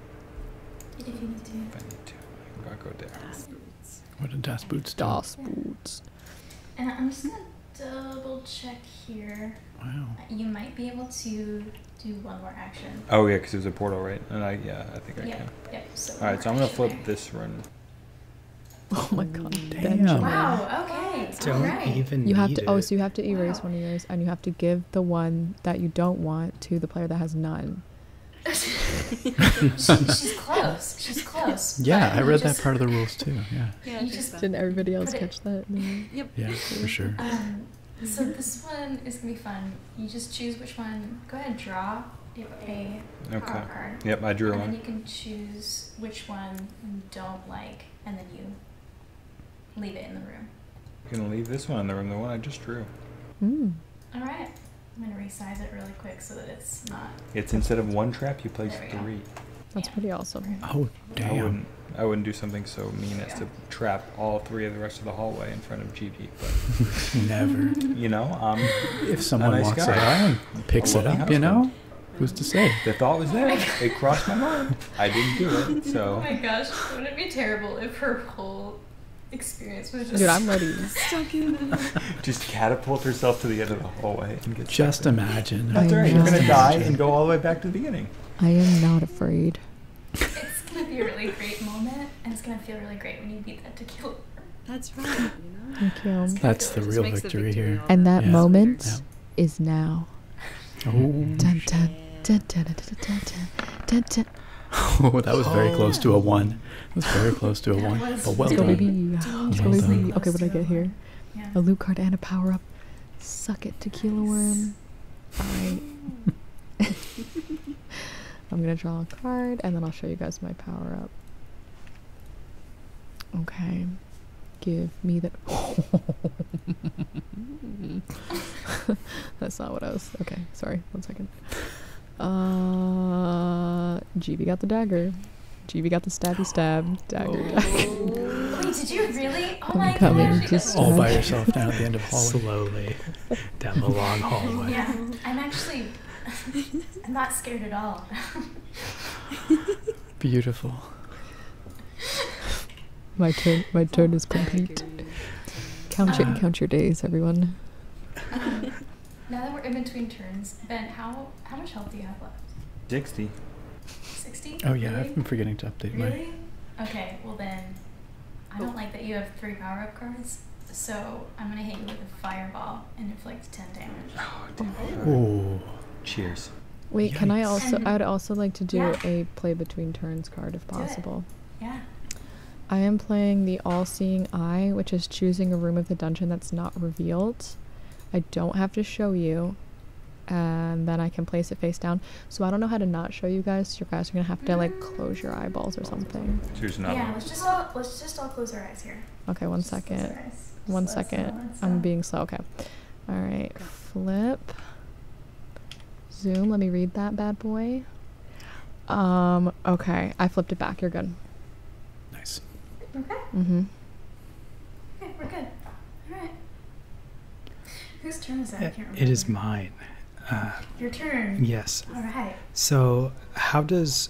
I What are das boots do? boots. And I'm just gonna double check here. Wow. Uh, you might be able to do one more action. Oh yeah, because there's a portal, right? And I yeah, I think I yep. can. Yep. All right, so I'm gonna flip this run. Oh my god. Damn. Wow, okay. Don't All right. even You have to oh, so you have to erase one of yours and you have to give the one that you don't want to the player that has none she's close. She's close. Yeah, I read that part of the rules too. Yeah. Yeah. You just, Didn't everybody else catch that? No. Yep. Yeah, for sure. Um, so mm-hmm. this one is gonna be fun. You just choose which one. Go ahead draw. You have okay. Yep, I drew and one. you can choose which one you don't like, and then you leave it in the room. You're gonna leave this one in the room. The one I just drew. Mm. All right. I'm going to resize it really quick so that it's not. It's instead of one trap, you place three. That's pretty awesome. Oh, damn. I wouldn't, do something so mean as to trap all three of the rest of the hallway in front of GP, but. Never. You know, if someone walks guy. and picks it up, you know? Who's to say? The thought was there. it crossed my mind. I didn't do it, so. Oh my gosh, wouldn't it be terrible if her whole experience was just. Dude, I'm ready. stuck just catapult herself to the end of the hallway Just imagine. After you right. You're gonna die and go all the way back to the beginning. I am not afraid. It's gonna be a really great moment, and it's gonna feel really great when you beat that tequila. That's right. You know? Thank you. That's the real victory, here. And that moment is now. Oh, that was very oh, close to a one. That was very close to a one. But well Let's baby. let baby. Okay, what did I get here? A loot card and a power up. Suck it, tequila worm. Alright. I'm gonna draw a card and then I'll show you guys my power up. Okay. Give me that. That's not what I was. Okay, sorry. One second fine. Uh, GB got the dagger. GB got the stabby stab. Dagger. dagger. Oh. Wait, did you really? Oh I'm coming Just all by yourself now at the end of the hallway. Slowly down the long hallway. Yeah, I'm actually. I'm not scared at all. Beautiful. My turn. My turn is complete. Um, count your days, everyone. now that we're in between turns, Ben, how how much health do you have left? Sixty. Sixty. Oh yeah, I've been forgetting to update really? Okay, well then, I don't like that you have three power up cards. So I'm gonna hit you with a fireball and inflict ten damage. Oh, damn. cheers. Wait, can I also? I'd also like to do a play between turns card if possible. Yeah. I am playing the All-Seeing Eye, which is choosing a room of the dungeon that's not revealed. I don't have to show you, and then I can place it face down. So I don't know how to not show you guys. So you guys are gonna have to like close your eyeballs or something. Choose another. Yeah, let's just let's just all close our eyes here. Okay, one second. One second. I'm being slow. Okay. All right. Flip. Zoom. Let me read that bad boy. Um, okay. I flipped it back. You're good. Nice. Okay. Mm-hmm. Okay, we're good. All right. Whose turn is that? It is mine. Uh, Your turn. Yes. All right. So, how does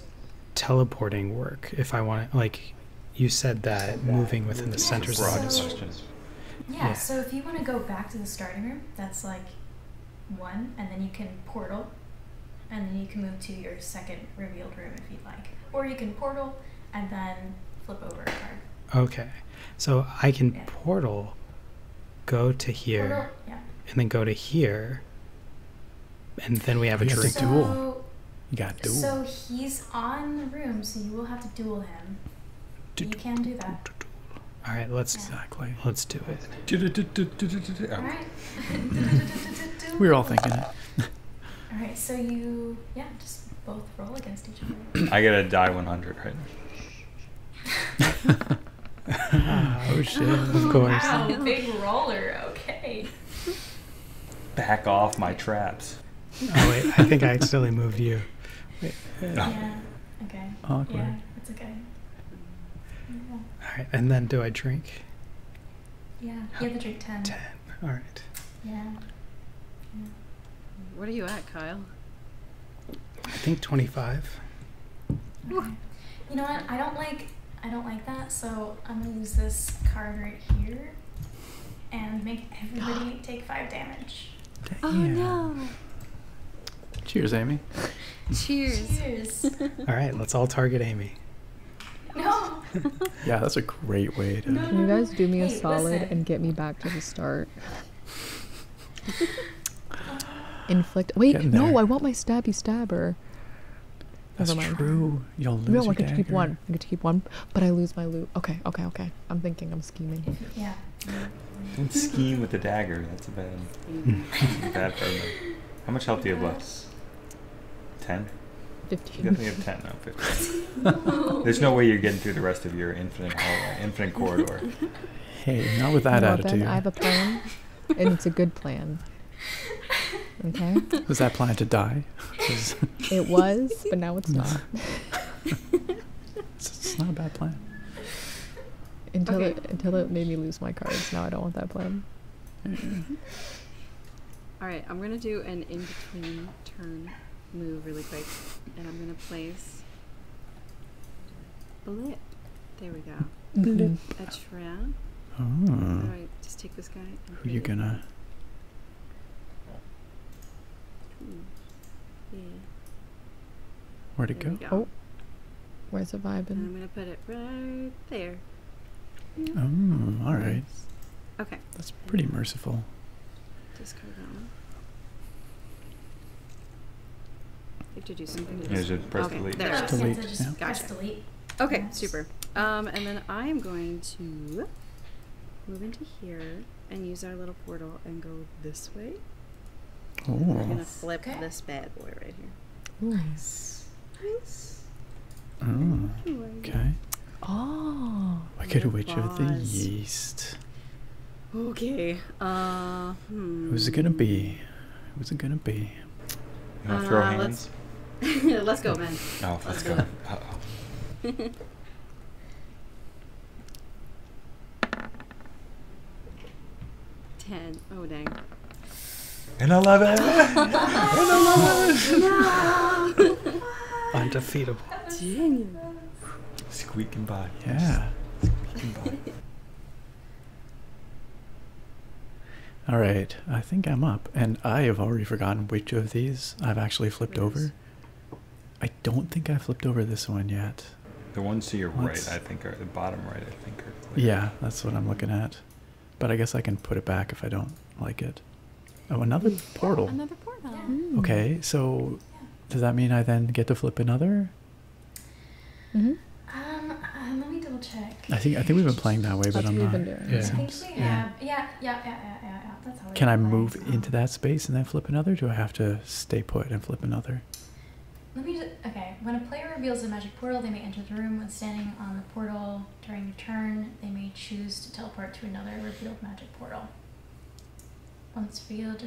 teleporting work? If I want, like, you said that moving within the center centers. So, yeah, yeah, So if you want to go back to the starting room, that's like one, and then you can portal, and then you can move to your second revealed room if you'd like. Or you can portal and then flip over a card. Okay. So I can portal, go to here, and then go to here, and then we have a drink. duel. You got duel. So he's on the room, so you will have to duel him. you can do that. All right, let's exactly. Let's do it. All right. we We're all thinking it. all right, so you yeah, just both roll against each other. I get a die 100, right? oh shit! Of course. Wow, big roller. Okay. Back off my traps. Oh wait, I think I accidentally moved you. Yeah. Okay. Awkward. Yeah, it's okay. All right, and then do I drink? Yeah, you have to drink 10. 10, all right. Yeah. yeah. What are you at, Kyle? I think 25. You know what? I don't like I don't like that, so I'm gonna use this card right here and make everybody take five damage. Oh no! Cheers, Amy. Cheers. Cheers. all right, let's all target Amy. No. yeah, that's a great way to. Can you guys do me a solid and get me back to the start? Inflict. Wait, no, I want my stabby stabber. That's true. You'll lose. No, I get to keep one. I get to keep one, but I lose my loot. Okay, okay, okay. I'm thinking. I'm scheming. Yeah. Don't scheme with the dagger. That's a bad. bad program. How much health do you have left? Ten. Fifteen. definitely have ten, not fifteen. There's no way you're getting through the rest of your infinite infinite corridor. Hey, not with that attitude. I have a plan, and it's a good plan. Okay. Was that plan to die? it was, but now it's not. it's not a bad plan. Until it until it made me lose my cards. Now I don't want that plan. All right, I'm gonna do an in between turn move really quick, and I'm gonna place blip. There we go. A tram. Oh. Right, just take this guy. Who are you gonna? Where'd it go? Oh. Where's the vibing? And I'm gonna put it right there. Oh, all right. Okay. That's pretty merciful. Discard that one. You have to do something. To yeah, press okay, delete. There Just Press delete. Okay, super. Um, and then I am going to move into here and use our little portal and go this way. Oh. We're gonna flip this bad boy right here. Nice. Nice. Oh, okay. Oh. Wicked Witch boss. of the Yeast. Okay. Uh. Hmm. Who's it gonna be? Who's it gonna be? You wanna throw uh, hands? Let's, go, oh. man. Oh, let's, go. Ten time. Oh dang. And I love it. and I love it. Undefeatable. Genius. Squeaking by. Yeah. Squeaking by. All right, I think I'm up, and I have already forgotten which of these I've actually flipped over. I don't think I flipped over this one yet. The ones to your right, I think, are the bottom right. I think are. Yeah, that's what I'm looking at that. But I guess I can put it back if I don't like it. Oh, another portal. Yeah, another portal. Yeah. Hmm. Okay, so does that mean I then get to flip another? Mm-hmm. Um, uh, let me double check. I think I think we've been playing that way, but That's I'm not. Doing yeah. I think we have. Yeah, yeah, yeah, yeah, yeah. yeah. That's how. Can I move into that space and then flip another? Do I have to stay put and flip another? Let me just, okay. When a player reveals a magic portal, they may enter the room. When standing on the portal during a turn, they may choose to teleport to another revealed magic portal. Once revealed,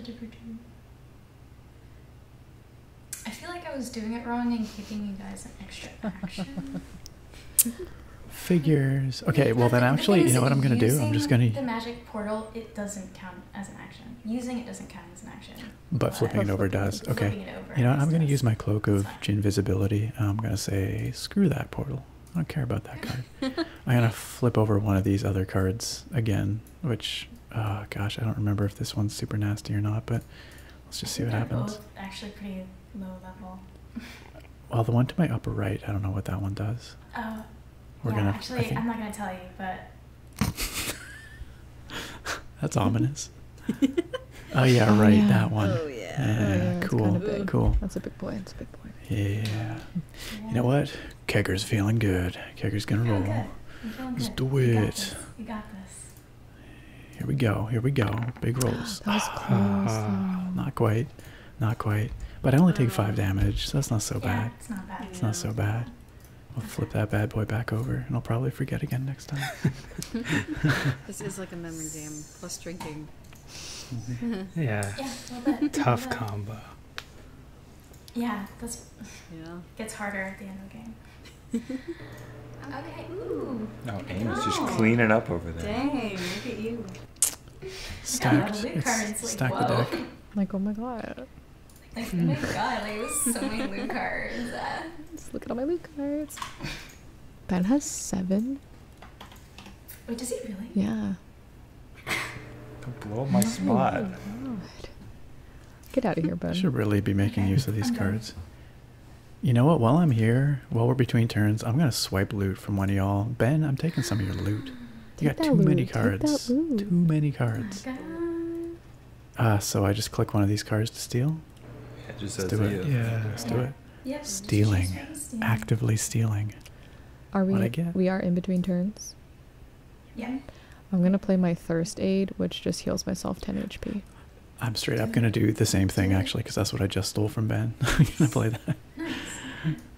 I feel like I was doing it wrong and giving you guys an extra action. Figures. Okay, well then actually, you know what I'm going to do? I'm just going to. The magic portal, it doesn't count as an action. Using it doesn't count as an action but flipping it over does. Okay. You know, I'm going to use my cloak of invisibility. I'm going to say, screw that portal. I don't care about that card. I'm going to flip over one of these other cards again, which, uh, gosh, I don't remember if this one's super nasty or not, but let's just see what happens. actually pretty low level. well, the one to my upper right, I don't know what that one does. Oh, We're gonna, actually, I'm not going to tell you, but... That's ominous oh yeah, oh, right. That one. Oh, yeah. Oh, cool. cool. That's a big boy. That's a big boy. Yeah. You know what? Kegger's feeling good. Kegger's gonna roll. Good. Let's do it. You got, this. Here we go. Here we go. Big rolls. that not quite. Not quite. But I only take five um, damage, so that's not so bad. It's not bad. It's not so bad. We'll flip that bad boy back over, and I'll probably forget again next. this is like a memory game plus drinking. yeah. Tough combo. Yeah, that's yeah. Gets harder at the end of the game. okay. Ooh. Oh, Amy's oh. just cleaning up over there. Dang! Look at you. stack the deck. Like oh my god. Like, oh my god, like so many loot cards. Uh. Just look at all my loot cards. Ben has seven. Wait, does he really? Yeah. blow oh my spot. Get out of here, Ben. I should really be making use of these cards. You know what? While I'm here, while we're between turns, I'm gonna swipe loot from one of y'all. Ben, I'm taking some of your loot. You got too many cards. Too many oh cards. Uh, so I just click one of these cars to steal. Yeah, just let's do it. it. Yeah, let's do it. Yeah. Stealing, actively stealing. Are we? We are in between turns. Yeah. I'm gonna play my thirst aid, which just heals myself 10 HP. I'm straight up gonna do the same thing actually, because that's what I just stole from Ben. I'm gonna play that.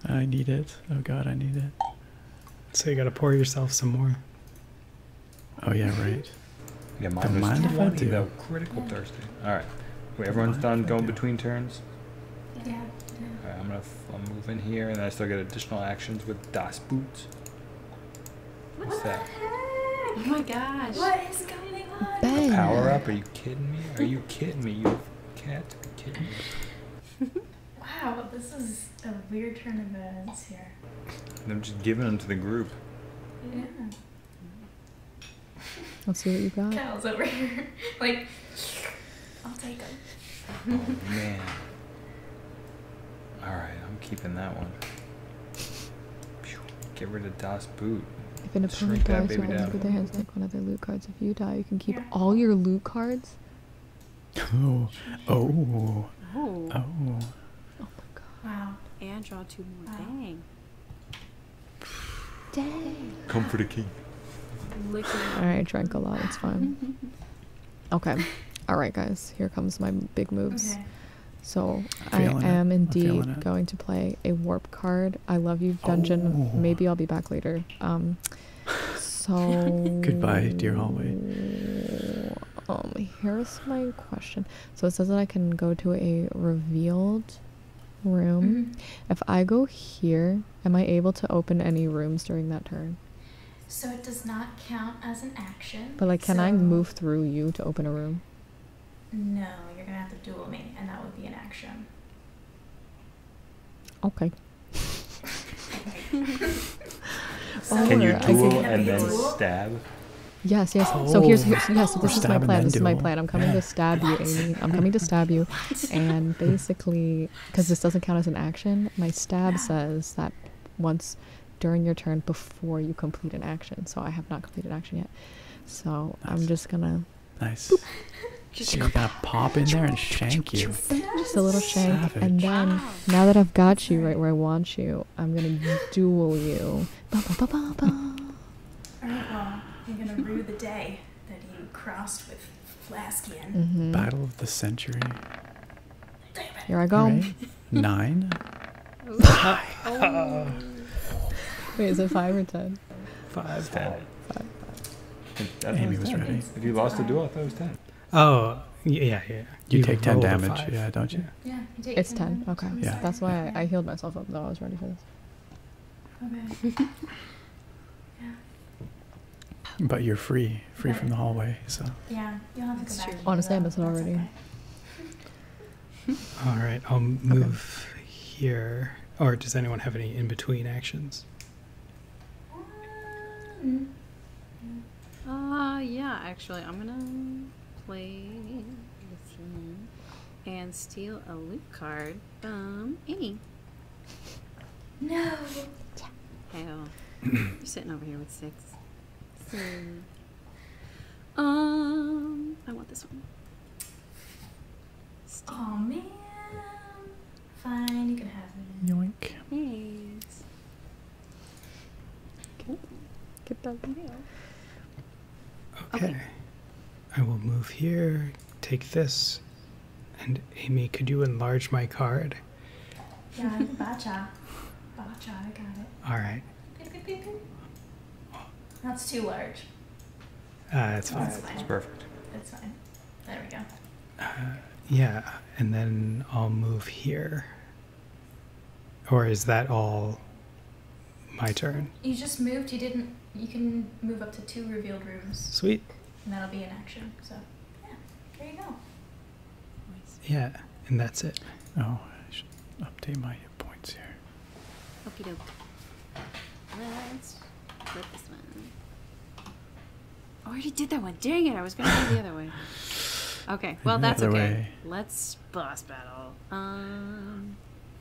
I need it. Oh god, I need it. So you gotta pour yourself some more. Oh yeah, right. Yeah, mine I Though. Critical Thursday. All right. Wait, everyone's done going between turns. Yeah. All right, I'm move in here, and then I still get additional actions with Das Boots. What's what that? Oh my gosh. What is going on? Ben. power up? Are you kidding me? Are you kidding me? You can't be kidding me. wow, this is a weird turn of events here. I'm just giving them to the group. Yeah. Let's see what you got. Kyle's over here. like, I'll take them. oh, man. Alright, I'm keeping that one. Get rid of Das Boot. If an opponent dies to ends with their hands, take one of their loot cards. If you die, you can keep yeah. all your loot cards. Oh. Oh. Oh. Oh. Oh my god. Wow. And draw two more. Wow. Dang. Comfort a king. Alright, drank a lot, it's fine. Okay. Alright guys, here comes my big moves. So I am indeed going to play a warp card. I love you, dungeon. Oh. Maybe I'll be back later. Um so goodbye, dear hallway. Um here's my question. So it says that I can go to a revealed room. Mm-hmm. If I go here, am I able to open any rooms during that turn? So it does not count as an action. But like, can I move through you to open a room? No, you're gonna have to duel me, and that would be an action. Okay. can you duel and then stab? Yes, yes. so oh. here's, yes. So this is my plan. This is my plan. I'm coming to stab you, Amy. I'm coming to stab you, and basically, because this doesn't count as an action, my stab says that once during your turn before you complete an action. So I have not completed an action yet. So I'm just gonna. Nice. She's so gonna pop in there and shank you. Just a little shank, and then now that I've got you right where I want you, I'm gonna duel you all right, well, you're going to rue the day that you crossed with Flaskian. Mm-hmm. Battle of the century. Here I go. Nine. Five. Wait, is it five or ten? Five. Amy was, ready. If you lost the duel, I thought it was ten. Oh, yeah, yeah. you take 10 damage, yeah, don't you? It's 10. Okay. That's why I, healed myself up, though. I was ready for this. Okay. But you're free, free from the hallway, so. Yeah, you'll have to That's go back. True. Honestly, already. All right, I'll move here. Or does anyone have any in between actions? Mm. yeah, actually, I'm gonna play this one and steal a loot card from Annie. No. Hell. You're sitting over here with six. um, I want this one. Steal. Oh man. Fine, you can have it. Yoink. Thanks. Okay. Get that mail. Okay. I will move here, take this, and Amy, could you enlarge my card? Yeah, bacha. Bacha, I got it. All right. That's too large. Uh, it's fine. That's fine. It's perfect. It's fine. There we go. Uh, yeah, and then I'll move here. Or is that all? my turn. You just moved. You didn't. You can move up to two revealed rooms. Sweet. And that'll be an action. So, yeah, there you go. Yeah, and that's it. Oh, I should update my points here. Okie doke. Let's flip this one. I already did that one. Dang it! I was gonna do the other way. Okay. Well, that's okay. Let's boss battle. Um.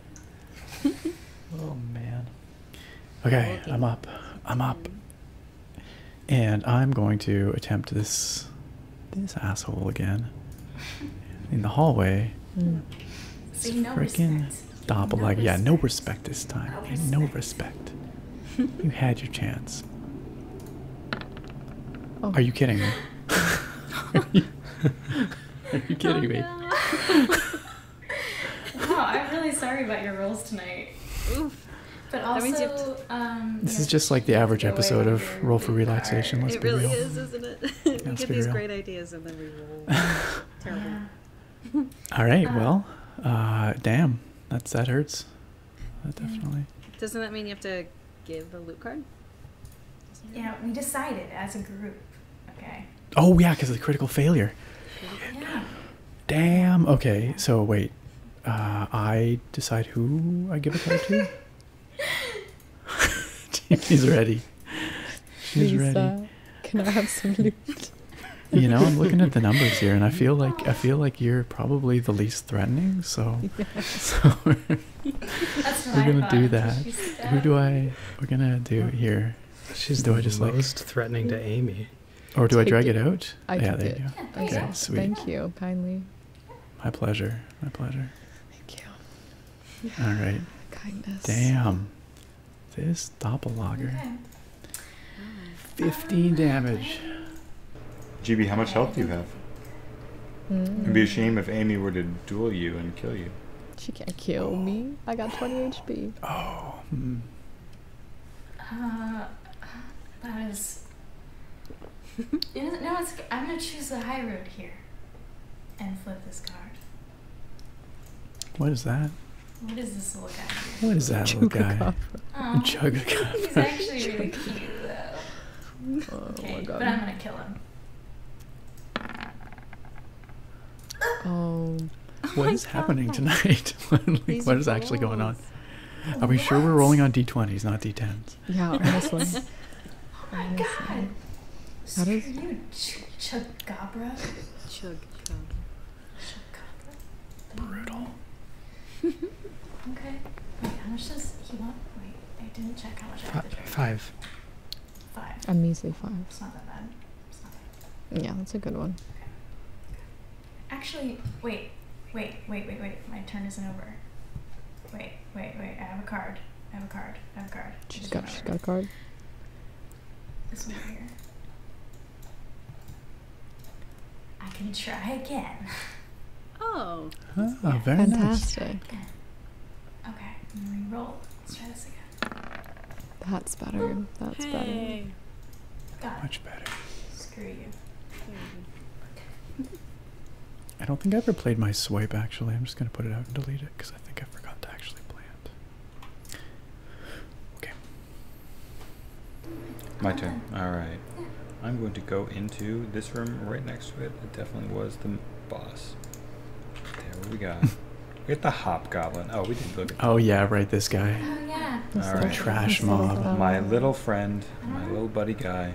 oh man. Okay, I'm up. I'm up. And I'm going to attempt this this asshole again. In the hallway. Mm. no freaking doppelganger. like, yeah, no respect this time. No respect. No respect. you had your chance. Oh. Are you kidding me? Are you kidding me? Oh, no. I'm really sorry about your rolls tonight. Oof. But also, um, this is just like the average episode of Roll for Relaxation. Let's it be really real. is, isn't it? we get these great ideas and then we roll. Terrible. All right. Uh, well, uh, damn, that's that hurts. definitely. Doesn't that mean you have to give the loot card? Yeah, we decided as a group. Okay. Oh yeah, because of the critical failure. Yeah. Damn. Okay. So wait. Uh, I decide who I give a card to. He's ready. She's ready. Can I have some loot? you know, I'm looking at the numbers here, and I feel like I feel like you're probably the least threatening. so we're gonna do that. Who do I? We're gonna do here. She's do I just most like threatening to Amy, or do I drag it, out? I yeah, there it. you go. Yeah, okay, sweet. Thank you kindly. My pleasure. My pleasure. Thank you. All right. Kindness. Damn. This doppelganger. 15 uh, damage. GB, how much health do you have? Mm. It'd be a shame if Amy were to duel you and kill you. She can't kill me. I got 20 HP. Oh. Hmm. Uh, that is. no, it's, I'm gonna choose the high road here, and flip this card. What is that? What is this little guy? What is that Chugacabra. little guy? Chugacabra. He's actually really cute though. Oh my god. But I'm gonna kill him. Oh. oh. What happening tonight? what is actually going on? Are we sure we're rolling on d20s, not d10s? Yeah, honestly. oh my God. How does Screw you ch Chugabra? Chugabra. Chugabra. Brutal. okay. how much does he want? Wait, I didn't check how much I have to Five. Five. I'm five. Yeah, that's a good one. Actually, wait, wait, wait, wait, wait. My turn isn't over. Wait, wait, wait. I have a card. I have a card. I have a card. She's got. She's got a card. This one here. I can try again. Oh. Oh, very Fantastic. nice. Okay, I'm gonna re-roll. Let's try this again. That's better. That's better. Much better. Screw you. I don't think I ever played my swipe actually. I'm just gonna put it out and delete it because I think I forgot to actually play it. Okay. My turn. Alright. I'm going to go into this room right next to it. It definitely was the boss. There what we got. we got the hobgoblin. Oh, we did look Oh, yeah, right, this guy. Oh, yeah. All right. Trash mob. My little friend, my little buddy guy.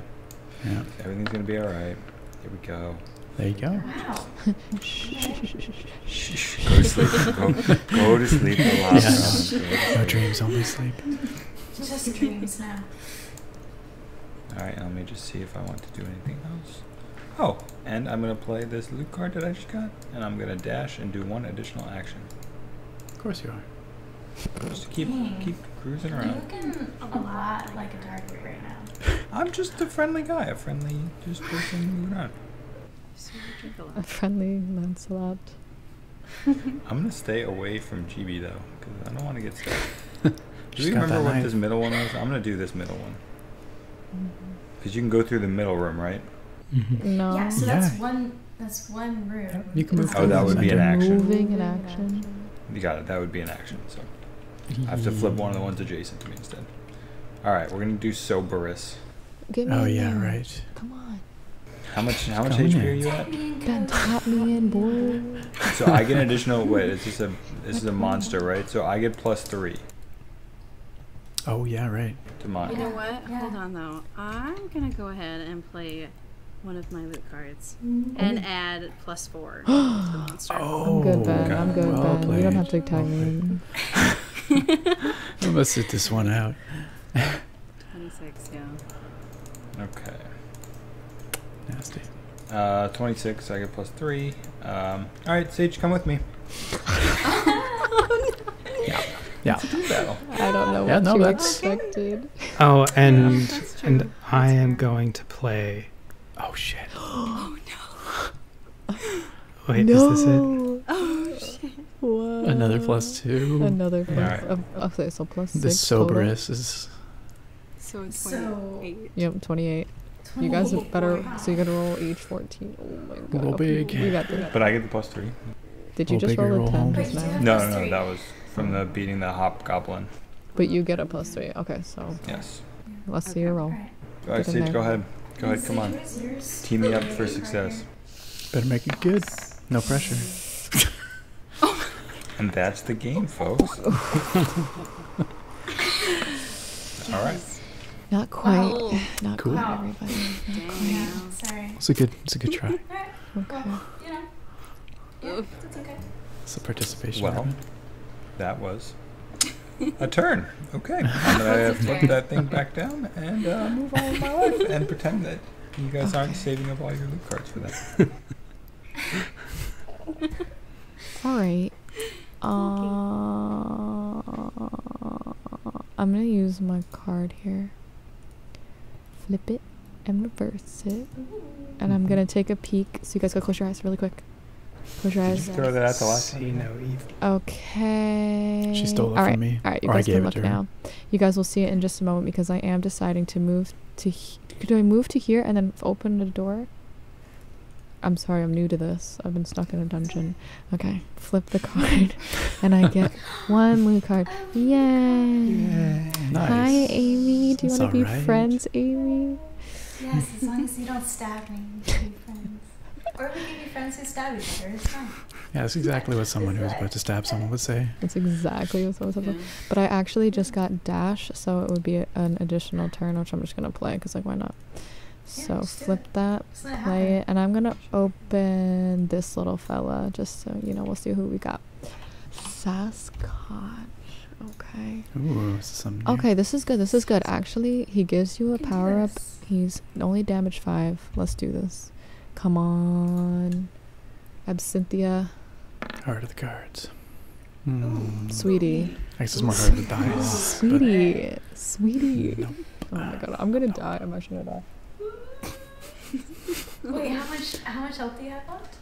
Yeah. Everything's going to be all right. Here we go. There you go. Wow. go to sleep. Go, to sleep. Yes. No dreams, only sleep. Just dreams now. All right, let me just see if I want to do anything else. Oh, and I'm going to play this loot card that I just got, and I'm going to dash and do one additional action. Of course you are. Just keep keep cruising around. You're looking a lot like a target right now. I'm just a friendly guy, a friendly just person moving around. A friendly Lancelot. I'm gonna stay away from GB though, because I don't want to get stuck. do you remember what this middle one is? I'm gonna do this middle one. Because mm-hmm. you can go through the middle room, right? Mm-hmm. No. Yeah, so that's one. That's one room. You can move. Oh, that would be an action. Moving an action. You got it. That would be an action. So mm-hmm. I have to flip one of the ones adjacent to me instead. All right, we're gonna do Soberus. oh yeah, right. Come on. How much? How much Come HP are you at? So I get additional. Wait, it's just a. This is a monster, right? So I get plus three. Oh yeah, right. You know what? Hold on though. I'm gonna go ahead and play one of my loot cards mm-hmm. and add plus four monster. Oh, I'm good, Ben. I'm good, well Ben. You don't have to tag me. I must sit this one out. 26, yeah. Okay. Nasty. Uh, 26, I get plus 3. Um, Alright, Sage, come with me. oh, Yeah. Yeah. I don't know yeah, no, that's... Oh, and, and I am going to play... Oh, shit. oh, no. Wait, no. is this it? Oh, shit. Whoa. Another plus 2. Another plus... Yeah. Right. Um, okay, so plus 6 The soberest is... So it's So, yep, 28. You guys are better. So you are going to roll age 14. Oh my god. Roll big. You got this. But I get the plus three. Did you just roll a 10 No, no, no. That was from the beating the hobgoblin. But you get a plus three. Okay, so. Yes. Let's see your roll. All right, Sage, go ahead. Go ahead, come on. Team me up for success. Better make it good. No pressure. Oh and that's the game, folks. All right. Not quite. Oh. Not cool. everybody. It's a good. It's a good try. it's a participation. Well, that was a turn. Okay, I'm gonna put that thing back down and uh, move on and pretend that you guys aren't saving up all your loot cards for that. All right. Uh, I'm gonna use my card here. Flip it and reverse it. And I'm mm-hmm. gonna take a peek. So you guys got close your eyes really quick. Close your eyes. throw that out the last See Okay. She stole it All right. from me. All right, you guys can look now. You guys will see it in just a moment because I am deciding to move to. Do I move to here and then open the door? I'm sorry, I'm new to this. I've been stuck in a dungeon. Okay, flip the card, and I get one blue card. Yay! nice. Hi, Amy. Do you want to be friends, Amy? Yes, as long as you don't stab me, we can be friends. or would you be friends who stab you? other. Yeah, that's exactly what someone who is about to stab someone would say. That's exactly what someone said. But I actually just got dash, so it would be an additional turn, which I'm just gonna play because like why not? So flip that, play it, and I'm gonna open this little fella just so you know we'll see who we got. Sasquatch. Okay. Ooh, this okay, this is good. This is good. Actually, he gives you a power up. He's only damage five. Let's do this. Come on. Absinthia. Heart of the cards. Hmm. Sweetie. I guess it's more hard to die. Sweetie sweetie. Oh my god, I'm gonna die. I'm actually gonna die. Wait, how much? How much health do you have left?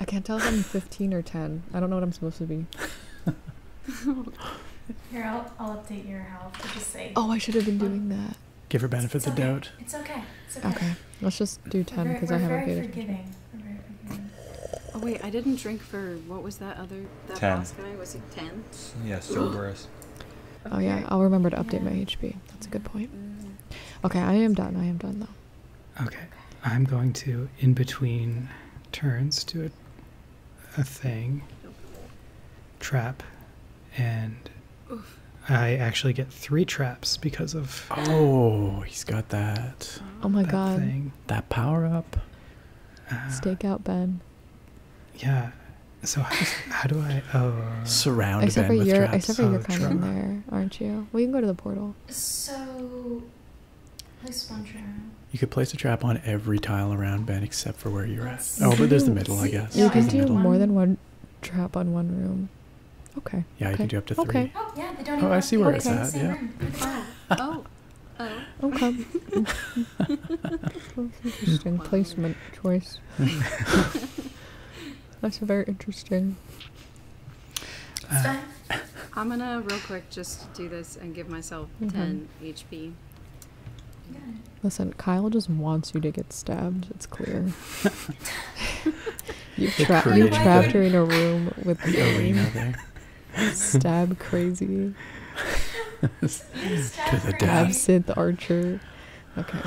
I can't tell if I'm 15 or 10. I don't know what I'm supposed to be. Here, I'll, update your health. I'll just say. Oh, I should have been doing that. Give her benefits of doubt. It's okay. okay. let's just do 10 because I haven't paid it. very forgiving. Oh wait, I didn't drink for what was that other that ten. boss Was he ten? Yeah, Cerberus. oh yeah, I'll remember to update my HP. That's a good point. Mm-hmm. Okay, I am done. I am done though. Okay, I'm going to in between turns do a, a thing, trap, and I actually get three traps because of. Oh, he's got that. Oh my god! That power up. Uh, Stake out Ben. Yeah. So how, do I? Oh. Surround except Ben with traps. Except for oh, kind of there, aren't you? Well, you can go to the portal. So, place one trap. You could place a trap on every tile around Ben except for where you're at. Oh, but there's the middle, I guess. You can do more than one trap on one room. Okay. Yeah, you can do up to three. Okay. Oh, yeah, they don't oh I see where it's at. Yeah. oh, Oh. Okay. interesting placement choice. That's very interesting. Uh, I'm gonna real quick just do this and give myself mm-hmm. 10 HP. Listen, Kyle just wants you to get stabbed. It's clear. you tra- you trapped her in a room with the, the arena there. Stab crazy. Stab to the dab. Absinthe Archer. Okay.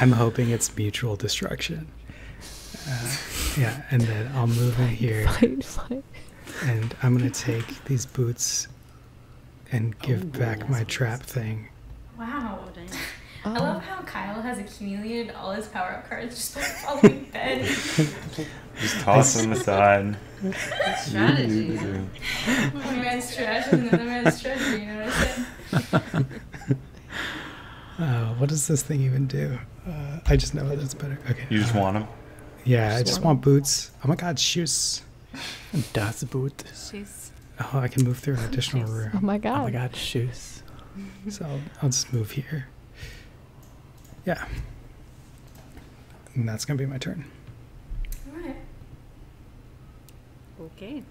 I'm hoping it's mutual destruction. Uh, yeah, and then I'll move fight, in here. Fight, fight. And I'm gonna take these boots and give back my trap thing. Wow. I oh. love how Kyle has accumulated all his power up cards just by following Ben. Just toss them aside. strategy. One man's trash another man's treasure. You know what I'm saying? Uh, what does this thing even do? Uh, I just know that's better. Okay. You just want them. Yeah, I just want, boots. Oh my god, shoes. Das Boot. Shoes. Oh, I can move through an additional room. Oh my god. Oh my god, shoes. so I'll just move here yeah. And that's going to be my turn. All right. Okay.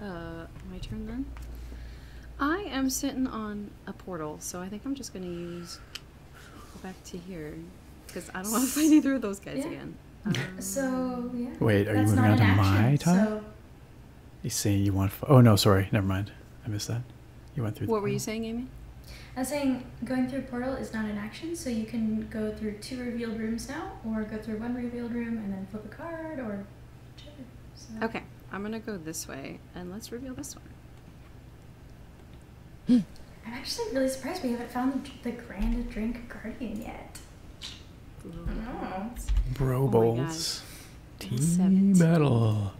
Uh, my turn then. I am sitting on a portal, so I think I'm just going to use. Go back to here. Because I don't want to fight either of those guys again. so, yeah. Um, Wait, are you moving on to my turn? So... You saying you want. Oh, no, sorry. Never mind. I missed that. You went through. What were you saying, Amy? I was saying going through portal is not an action, so you can go through two revealed rooms now, or go through one revealed room and then flip a card, or Okay, I'm gonna go this way, and let's reveal this one. I'm actually really surprised we haven't found the, Grand Drink Guardian yet. Bro oh bowls. team battle.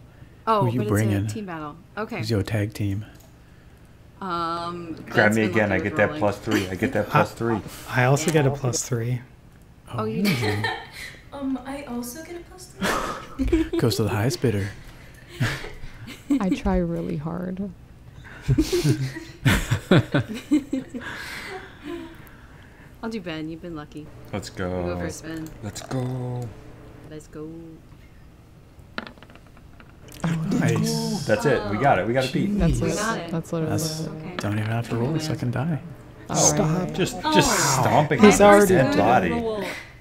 Oh, Who you but bringing? team battle. Okay. Who's your tag team? Um, Grab me again. I get that plus three. I get that plus three. I, also get a plus three. Oh, oh you do. um, I also get a plus three. Goes to the highest bidder. I try really hard. I'll do Ben. You've been lucky. Let's go. we go first, Ben. Let's go. Let's go. Nice. That's it. We got it. We got a beat. That's it. it. That's literally That's, it. Don't even have to roll. So I die. Stop. Just oh. just wow. stomping his dead body.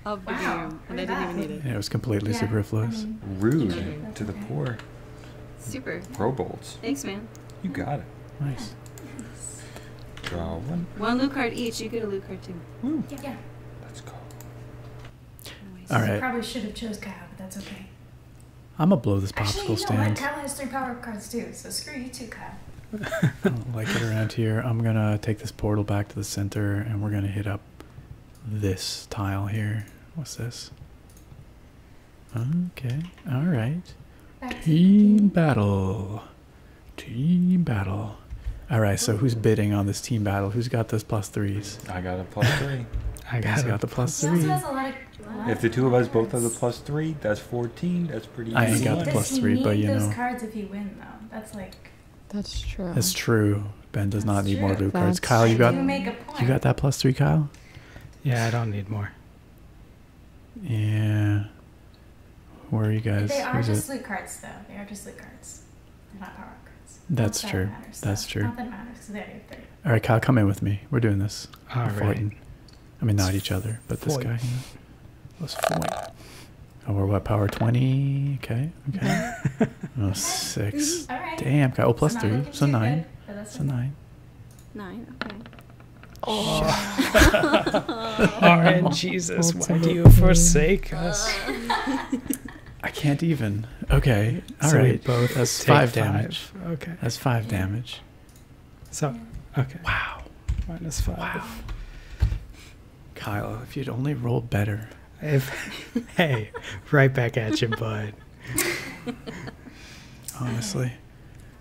Of the wow. game, and I didn't even need it. Yeah, it was completely superfluous. Rude to the poor. Super. Pro bolts. Thanks, man. You got it. Nice. Draw one. One loot card each. You get a loot card too. Yeah. Let's go. Anyways, All right. Probably should have chose Kyle, but that's okay. I'm gonna blow this popsicle Actually, you Kyle has three power cards too, so screw you too, Kyle. I don't like it around here. I'm gonna take this portal back to the center, and we're gonna hit up this tile here. What's this? Okay. All right. Back Team battle. Team battle. All right, so who's bidding on this team battle? Who's got those plus threes? I got a plus three. I got, the plus three. if the two of us both have the plus three, that's fourteen. That's pretty. I ain't got one. the plus three, but you those know. cards if you win though. That's like. That's true. That's true. Ben does not need more blue cards. Kyle, you got you got that plus three, Kyle. Yeah, I don't need more. Yeah. Where are you guys? They are just it? loot cards, though. They are just loot cards. That's true. That's true. All right, Kyle, come in with me. We're doing this. All I mean, not each other, but this guy. let Oh, we're what? Power 20? Okay. Okay. oh, six. Damn, guy. Oh, three. So nine. So nine. Nine. Okay. Oh. and Jesus, why do you forsake us? I can't even. Okay. all right. both That's five damage. Okay. That's five damage. So, okay. Wow. Minus five. Wow. Kyle, if you'd only roll better. If, hey, right back at you, bud. Honestly.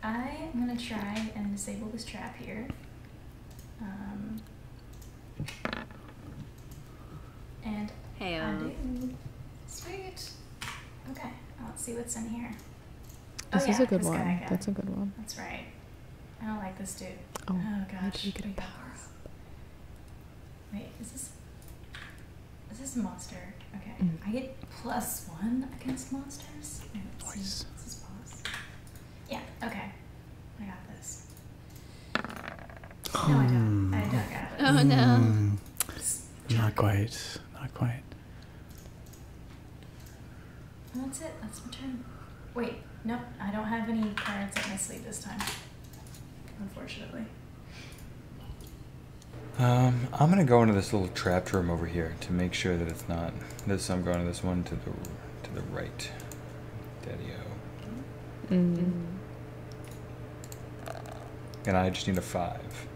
I'm gonna try and disable this trap here. Um, and hey, um. Sweet. Okay, let's see what's in here. This oh, is a good one. That's a good one. That's right. I don't like this dude. Oh, oh gosh. You get a power up. Wait, is this is this monster? Okay. Mm. I get plus one against monsters. Wait, Yeah, okay. I got this. No, I don't. Hmm. Oh no. Hmm. Not quite. Not quite. That's it. That's my turn. Wait, nope. I don't have any cards in my sleeve this time. Unfortunately. Um, I'm gonna go into this little trap room over here to make sure that it's not. This I'm going to this one to the to the right. Daddy-o. -hmm. And I just need a five.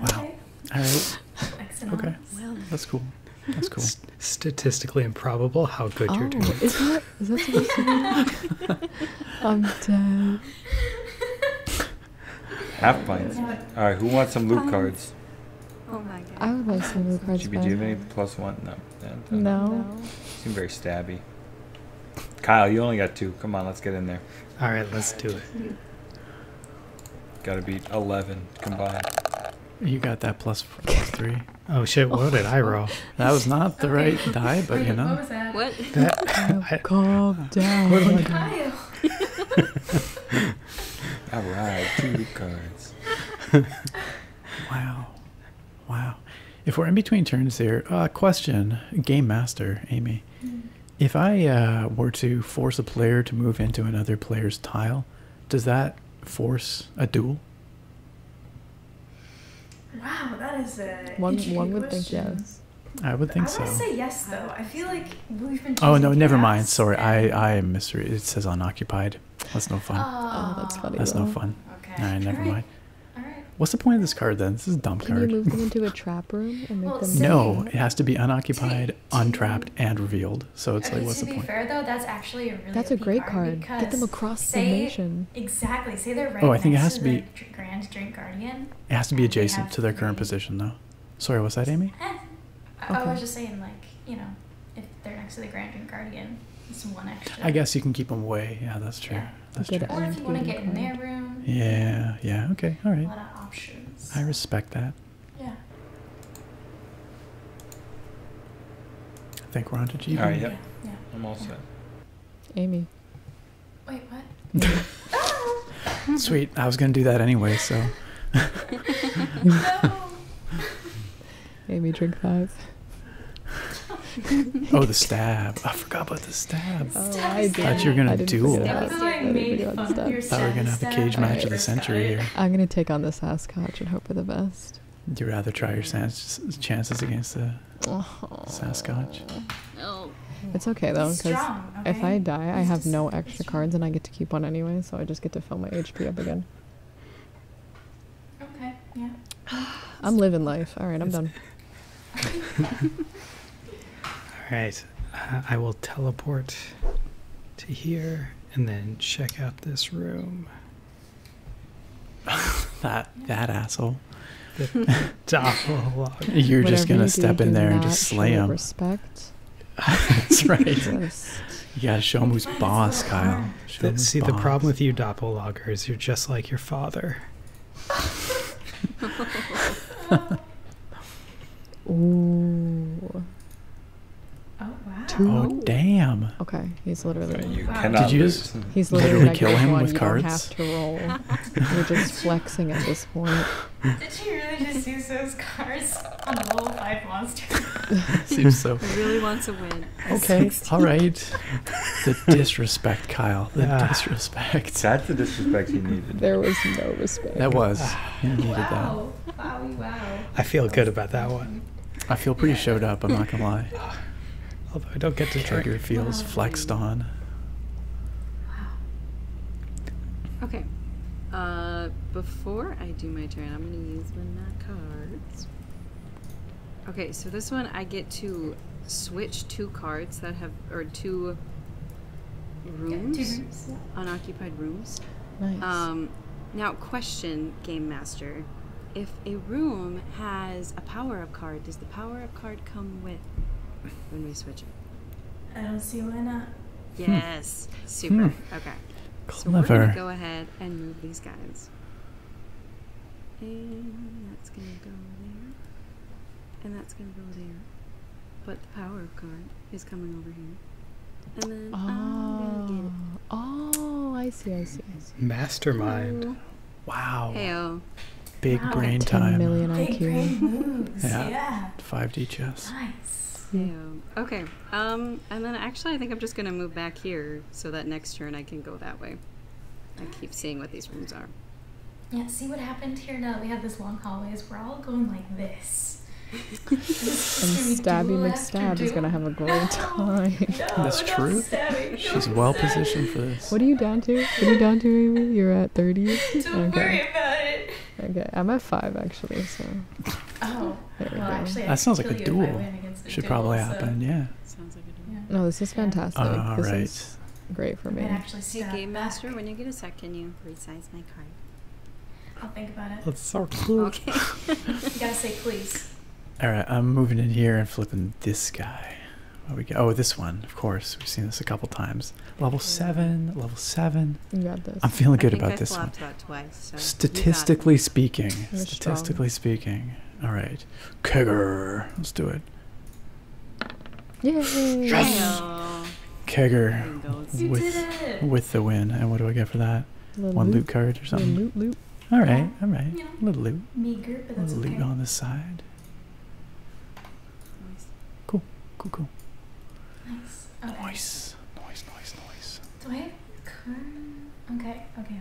Wow. All right. Okay. Well, that's cool. That's cool. statistically improbable how good you're oh, doing. Is that supposed to be? I'm um, dead. Half pints. All right, who wants some loot um, cards? Oh my god. I would like some loot cards. Should be do any plus one? No no. Seem very stabby. Kyle, you only got two. Come on, let's get in there. All right, let's do it. Got to beat 11 combined. You got that plus, four, plus three. Oh shit, what did I roll? That was not the right die, but you know. What was that? What? Oh, calm down. What I doing? All right, two cards. wow. Wow. If we're in between turns here, uh, question, Game Master, Amy. Mm-hmm. If I uh, were to force a player to move into another player's tile, does that force a duel? Wow, that is it. one. would think yes. I would think so. I would say yes, though. I feel like we've been. Oh no, never mind. Sorry, I I am mystery. It says unoccupied. That's no fun. Oh, that's funny. That's no fun. Okay. All right, never mind. What's the point of this card then? This is a dump card. You into a trap room and make them. No, it has to be unoccupied, untrapped, and revealed. So it's like, what's the point? To be fair though, that's actually a really. That's a great card. Get them across the nation. Exactly. Say they're right. Oh, I think it has to, be. Grand drink Guardian. It has to be adjacent to their current position though. Sorry, what's that, Amy? Eh. I was just saying, like, you know, if they're next to the Grand and guardian, it's one extra. I guess you can keep them away. Yeah, that's true. Yeah. That's true. Or if you want to get in their room. Yeah. Yeah. Okay. All right. A lot of options. I respect that. Yeah. I think we're on to GB. All right. Yeah. yeah. I'm all set. Amy. Wait. What? oh. Sweet. I was gonna do that anyway, so. made me drink that. oh, the stab! I forgot about the stab. Oh, I did. thought you were gonna duel. That I Thought we were gonna have a cage match of the century here. I'm gonna take on the Sasquatch and hope for the best. Would you rather try your chances against the oh. Sasquatch? It's okay though, because if I die, I have no extra cards, and I get to keep one anyway, so I just get to fill my HP up again. Okay, yeah. I'm living life. All right, I'm done. All right, uh, I will teleport to here and then check out this room. that that asshole. You're just gonna step in there and just slay him. Respect. That's right. Just. You gotta show him who's boss, Kyle see, the problem with you doppelloggers, you're just like your father. Ooh. Oh wow! Oh damn! Okay, he's literally. So you cannot he's literally, literally him with with you Don't have to roll. You're just flexing at this point. Did she really just use those cards on a little five monster? Seems so. He really wants to win. Okay. All right. The disrespect, Kyle. The ah, disrespect. That's the disrespect he needed. There was no respect. That was. Ah. wow. Wow. Wow. I feel good about that one. I feel pretty showed up. I'm not gonna lie. Although I don't get to Trigger feels flexed on. Okay. Uh, before I do my turn, I'm gonna use one of my cards. Okay, so this one I get to switch two cards that have, or two rooms, unoccupied rooms. Nice. Um, now, question, Game Master. If a room has a power up card, does the power up card come with when we switch it? I don't see why not. Yes. Hmm. Super. Hmm. Okay. Clever. So we're gonna go ahead and move these guys happens. And that's going to go there. And that's going to go there. But the power card is coming over here. And then oh. I'm going to get it. Oh. oh, I see, I see, I see. Mastermind. Ooh. Wow. Hey-o. Big wow, brain 10 time. Million IQ. Big brain moves. yeah. yeah. 5D chess. Nice. Yeah. Okay. Um, and then actually, I think I'm just going to move back here so that next turn I can go that way. I keep seeing what these rooms are. Yeah, see what happened here now. We have this long hallways. We're all going like this. and Stabby McStab is gonna have a great time. That's true. She's well positioned for this. What are you down to? What are you down to, Amy? You're at 30? Don't okay. worry about it. Okay, I'm at 5 actually, so. Oh, well, Actually, that sounds like a duel. Should probably happen, yeah. No, this is fantastic. Uh, great for me. Actually, see Game Master, when you get a sec, can you resize my card? I'll think about it. That's so cool. Okay. you gotta say please. All right, I'm moving in here and flipping this guy. Oh, we go. Oh, this one, of course. We've seen this a couple times. Level seven, level seven. I'm feeling good about this one. statistically speaking, statistically speaking, all right. Kegger. Let's do it. Yay. Kegger with, with the win. And what do I get for that? One loot. card or something? Little loot, loot. All right. All right. Yeah. Little loot. Little loot on the side. Cool. Cool, cool. Nice. Nice. Nice. Nice. Do I Okay. Okay, okay.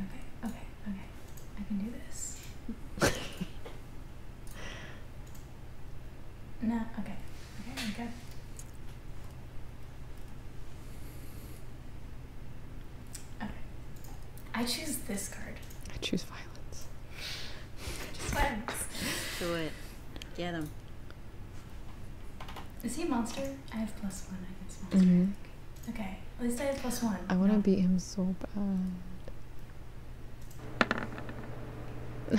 Okay, okay. I can do this. no, okay. Okay, i Okay. I choose this card. I choose violence. choose violence. Do it. Get him. Is he a monster? I have plus one against monster. Mm Okay, at least I have plus one. I want to beat him so bad.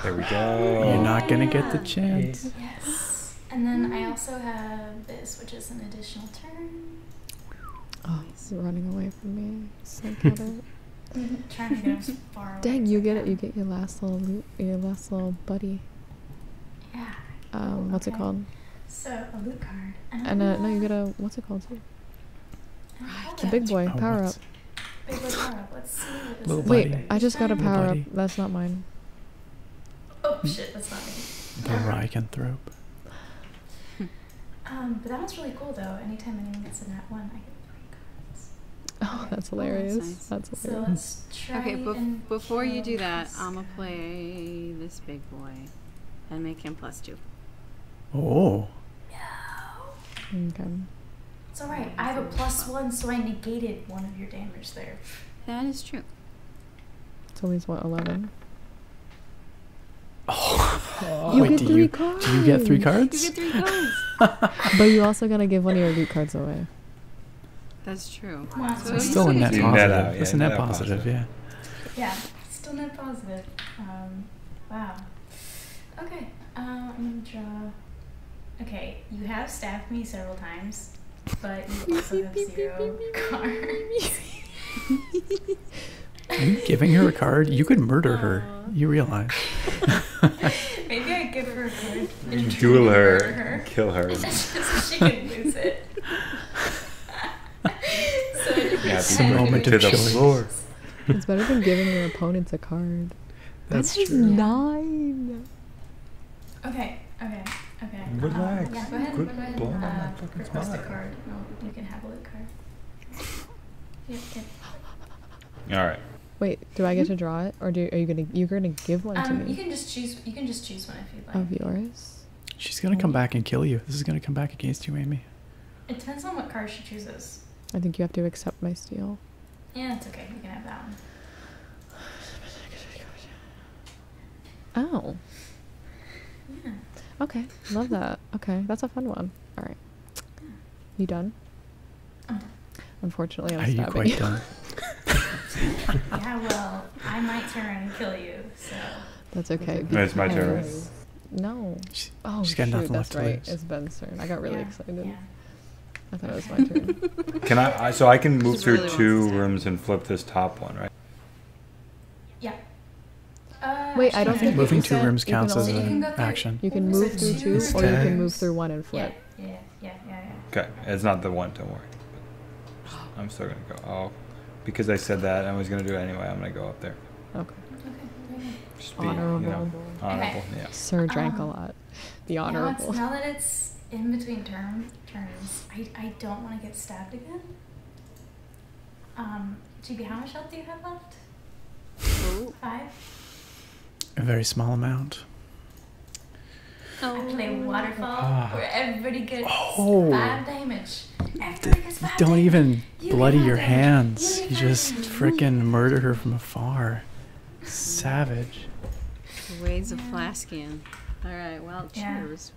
There we go. You're not gonna get the chance. Yes. And then I also have this, which is an additional turn. Oh, he's running away from me. So get trying to get as far Dang, you get it. You get your last little, loop, your last little buddy. Yeah. Um, what's it called? So a loot card. And, and no, you get a what's it called too? Right. The big boy, power up. Wait, I just got a power up. That's not mine. Oh shit, that's not me. The Rycanthrope. um, but that one's really cool though. Anytime anyone gets a nat one, I get three cards. Oh, oh, that's hilarious. that's, nice. that's, hilarious. okay, before you do that, I'ma play this big boy and make him plus two. Oh. No. It's alright. I have a plus one, so I negated one of your damages there. That is true. It's always what eleven. Oh. You Wait, get do three you, cards. Do you get three cards? You get three cards. but you also gotta give one of your loot cards away. That's true. it's still a net positive. Net yeah, it's net, positive, positive, yeah. Yeah, still net positive. Um, Wow. Okay. Um, I'm gonna draw. Okay, you have stabbed me several times, but you also have zero cards. Are you giving her a card? You could murder her. You realize. Maybe I give her a card. duel her, Kill her. so she can lose it. yeah, so moment of choice. It's better than giving your opponents a card. That's that true. nine. Okay, okay, okay. Relax. Um, yeah, go ahead. Good go ahead. Blow uh, request a card. No, you can have a loot card. Yep, yep. All right. Wait, do I get to draw it, or do are you gonna you're gonna give one to um, me? You can just choose. You can just choose one if you like. Of yours. She's gonna come back and kill you. This is gonna come back against you, Amy. It depends on what card she chooses. I think you have to accept my steal. Yeah, it's okay. You can have that one. Oh. Yeah. Okay. Love that. Okay. That's a fun one. All right. You done? Unfortunately, I'm Are you. Quite Done? yeah, well, I might turn and kill you, so. That's okay. That's no, my turn. No. oh, that's right. It's Ben's turn. I got really excited. I thought it was my turn. Can I, so I can move through two rooms and flip this top one, right? Yeah. Uh, Wait, I don't think moving two rooms counts as an action. You can move through two, or you can move through one and flip. Yeah, yeah, yeah, yeah. Okay, it's not the one. Don't worry. I'm still gonna go. Oh, because I said that, I was gonna do it anyway. I'm gonna go up there. Okay. honorable. Sir drank a um, lot. The honorable. now that it's in between term terms, I, I don't want to get stabbed again. Um, GB, how much health do you have left? Five. A very small amount. I play oh. waterfall ah. where everybody gets oh. five damage. do Don't even bloody your hands. You just frickin' murder her from afar. Savage. Wade's a flaskian. All right, well, cheers.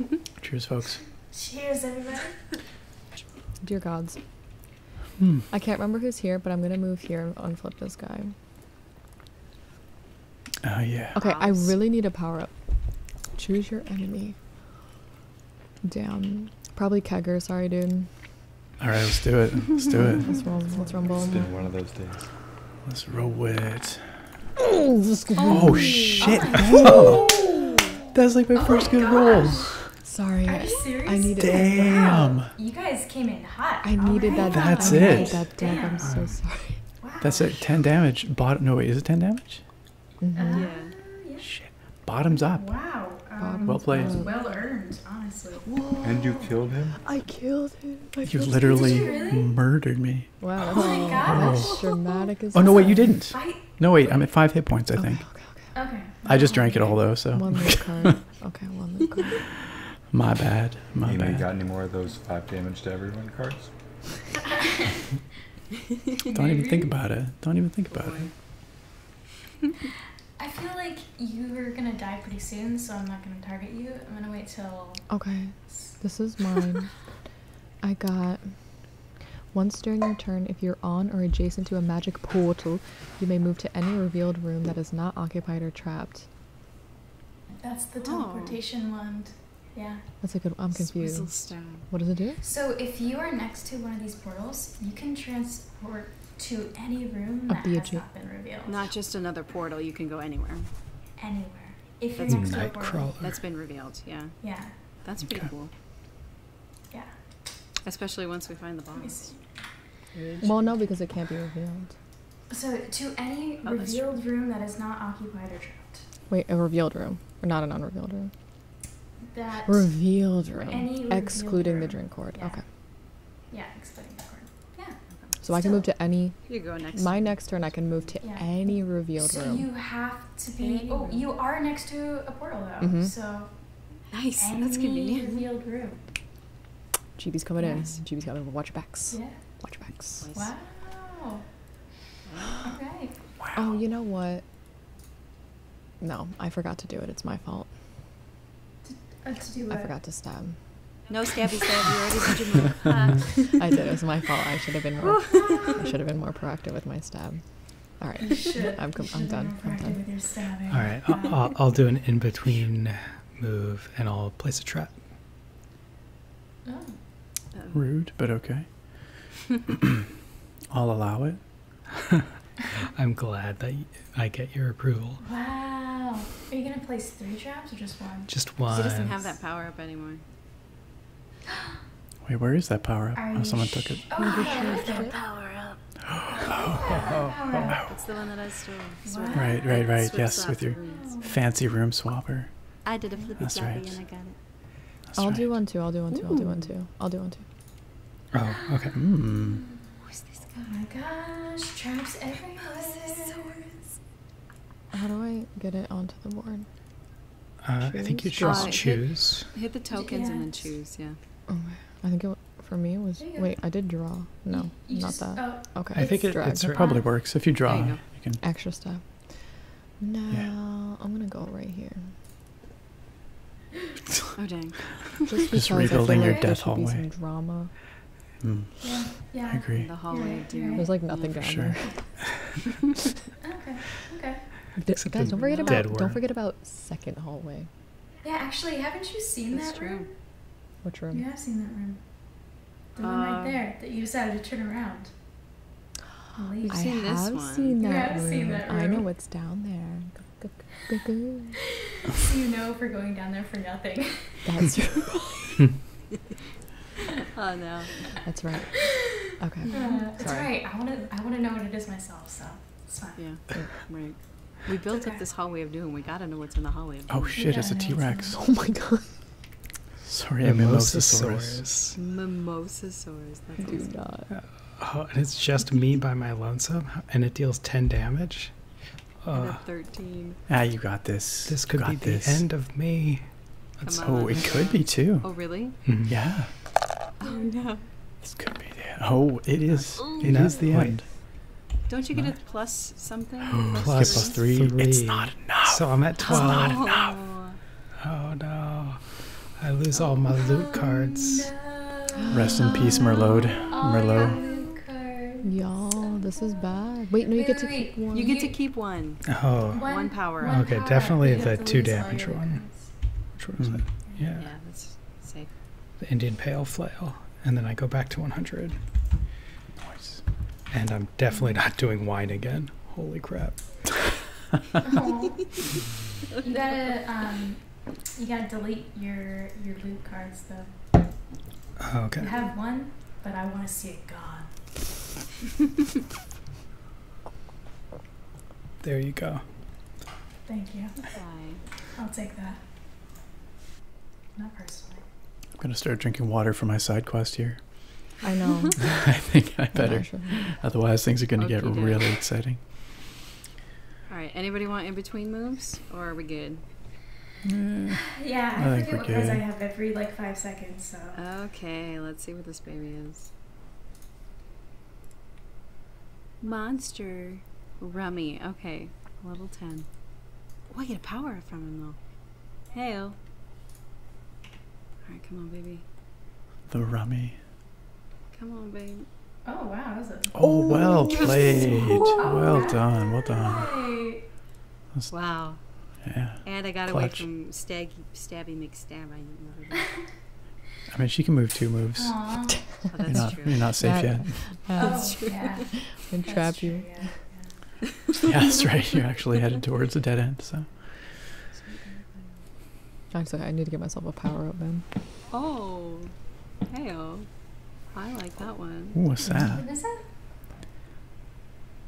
cheers, folks. Cheers, everyone. Dear gods. Hmm. I can't remember who's here, but I'm gonna move here and unflip this guy. Oh yeah. Okay, I really need a power up. Choose your enemy. Damn. Probably kegger. Sorry, dude. All right, let's do it. Let's do it. let's, rumble. It's been one of those days. Let's roll it. Oh, oh this good oh, oh shit! Oh. That's like my oh first good roll. Sorry. Are you serious? I needed Damn. You guys came in hot. I needed that. That's it. I'm so sorry. That's it. Ten damage. Bottom. No wait. Is it ten damage? Mm-hmm. Uh, yeah. Shit. Bottoms up. Wow. Um, well played. Well earned, honestly. Whoa. And you killed him? I killed him. I you killed literally him. Really? murdered me. Wow. Oh that's, oh my gosh. Oh. dramatic as Oh, no, wait, you didn't. I... No, wait, I'm at five hit points, I think. Okay, okay. okay. okay. I just drank it all, though, so. One more card. okay, one more card. My bad. My you bad. You got any more of those five damage to everyone cards? Don't even think about it. Don't even think about it. I feel like you're gonna die pretty soon, so I'm not gonna target you. I'm gonna wait till. Okay, this is mine. I got. Once during your turn, if you're on or adjacent to a magic portal, you may move to any revealed room that is not occupied or trapped. That's the oh. teleportation oh. wand. Yeah. That's a good. I'm confused. What does it do? So if you are next to one of these portals, you can transport to any room that has not been revealed. Not just another portal. You can go anywhere. Anywhere. that's you that's been revealed. Yeah. Yeah. That's pretty cool. Yeah. Especially once we find the bombs. Well, no, because it can't be revealed. So, to any oh, revealed room that is not occupied or trapped. Wait, a revealed room, or not an unrevealed room? that revealed room, excluding the drink cord. Okay. Yeah, excluding the cord. Yeah. So I can move to any. You go next. My next turn, I can move to any revealed room. So you have to be. oh, you are next to a portal though. Mm-hmm. So nice. Any That's convenient. revealed room. Chibi's coming in. Chibi's coming. in. Watch your backs. Yeah. Watch your backs. Wow. All right. Wow. Oh, you know what? No, I forgot to do it. It's my fault. Uh, I forgot to stab. No stabby stab. You already did your move. I did. It was my fault. I should have been more. I should have been more proactive with my stab. All right. done. I'm done. All right. do an in between move and I'll place a trap. Oh. Rude, but okay. I'll allow it. I'm glad that I get your approval. Wow. Are you going to place three traps or just one? Just one. She doesn't have that power up anymore. Wait, where is that power up? oh, someone took it. Oh, that power up. oh, oh, It's the one that I stole. Right, right, right. yes, with your fancy room swapper. I did a flippy That's floppy right. I will do one too. I'll do one too. I'll do one too. I'll do one too. Oh, okay. Mm. Who's this guy? Oh my gosh, traps everywhere. Oh, How do I get it onto the board? Uh, I think you just choose. Hit, the tokens and then choose, yeah. Okay. Oh, I think it, for me it was. Wait, I did draw. No, not that. Oh, okay. I think it, it probably works. If you draw, Extra stuff. No, I'm going to go right here oh dang! Just, Just rebuilding your death hallway. drama. Hmm. Yeah, I agree. the hallway, yeah, yeah. There's like nothing yeah, going Sure. okay. Okay. guys, don't forget about don't forget about second hallway. Yeah, actually, haven't you seen That's that room? Which room? You have seen that room. The uh, one right um, there that you decided to turn around. You've I seen have seen that, yeah, seen that room. I know what's down there so you know if we're going down there for nothing. That's true. oh no. That's right. Okay. that's uh, right. I want to. I want to know what it is myself. So it's fine. Yeah. Right. We built up this hallway of doom. We gotta know what's in the hallway of oh, doom. Oh shit! It's a T Rex. Oh my god. Sorry, Mimosasaurus. Mimosasaurus. Mimosasaurus. That's Do awesome. not. Oh, and it's just me by my lonesome, and it deals 10 damage. Uh, 13. Ah, you got this. This could be this. the end of me. let oh, it could be too. Oh, really? Mm-hmm. Yeah. Oh, no. This could be the Oh, it is. Ooh. It no. the end. Don't you get a plus something? plus, plus, It's not enough. So I'm at 12. Oh. oh, no. I lose all my loot oh, cards. Rest in peace, Merlot. Merlot. Y'all, this is bad. Wait, no, you get to keep one. You get to keep one. Oh. power. Up. Okay, definitely the two damage one. Which one mm-hmm. Yeah. The Indian Pale Flail. And then I go back to 100. Nice. And I'm definitely not doing wine again. Holy crap. the um, you gotta delete your your loot cards though. Oh, okay. You have one, but I want to see it gone. there you go. Thank you. I'll take that. Not personally. I'm gonna start drinking water for my side quest here. I know. I think I better. Otherwise, things are gonna get really exciting. All right. Anybody want in between moves, or are we good? Yeah, mm. yeah I, forget what prize I have every like five seconds. So okay, let's see what this baby is. Monster rummy. Okay, level ten. Oh, I get a power up from him though. Heyo. All right, come on, baby. The rummy. Come on, babe. Oh wow, is it? Oh well played. Oh, well done, well done. That's, wow. Yeah. And I got away from Staggy Stabby McStab. I, mean she can move two moves. Oh, you're, not, safe yet. Oh, that's true. Yeah. trap you. Yeah. yeah, that's right. You're actually headed towards a dead end. So. I need to get myself a power up then. Oh, hey I like that one. what's that?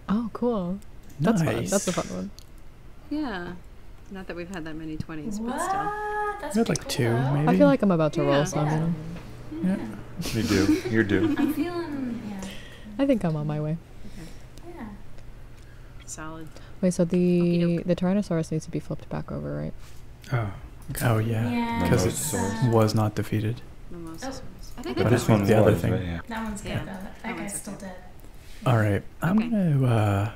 Oh, cool. That's nice. fun. That's a fun one. Yeah. Not that we've had that many 20s, but still. That's had like two, maybe. I feel like I'm about to yeah. roll some. Yeah. yeah. yeah. Me do. You're due. i think I'm on my way. Yeah. Solid. Wait, so the, the Tyrannosaurus needs to be flipped back over, right? Oh. Oh yeah. Because it was not defeated. Oh, this one's the other thing. That one's good. That, guy's still dead. All right. I'm gonna uh,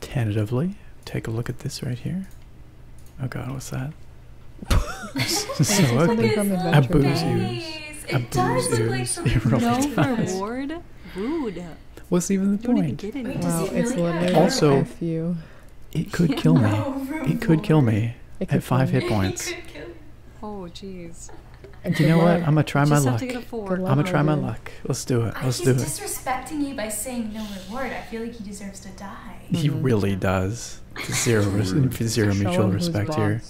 tentatively take a look at this right here. Oh god, what's that? so ugly. A booze ears. It does look no reward. Rude. What's even the point? also It could kill me. It could kill me at five hit points. Oh jeez. Do you know what? I'm gonna try my luck. I'm gonna try my luck. Let's do it. Let's He's do it. He's disrespecting you by saying no reward. I feel like he deserves to die. He mm-hmm. really does. Zero mutual respect here.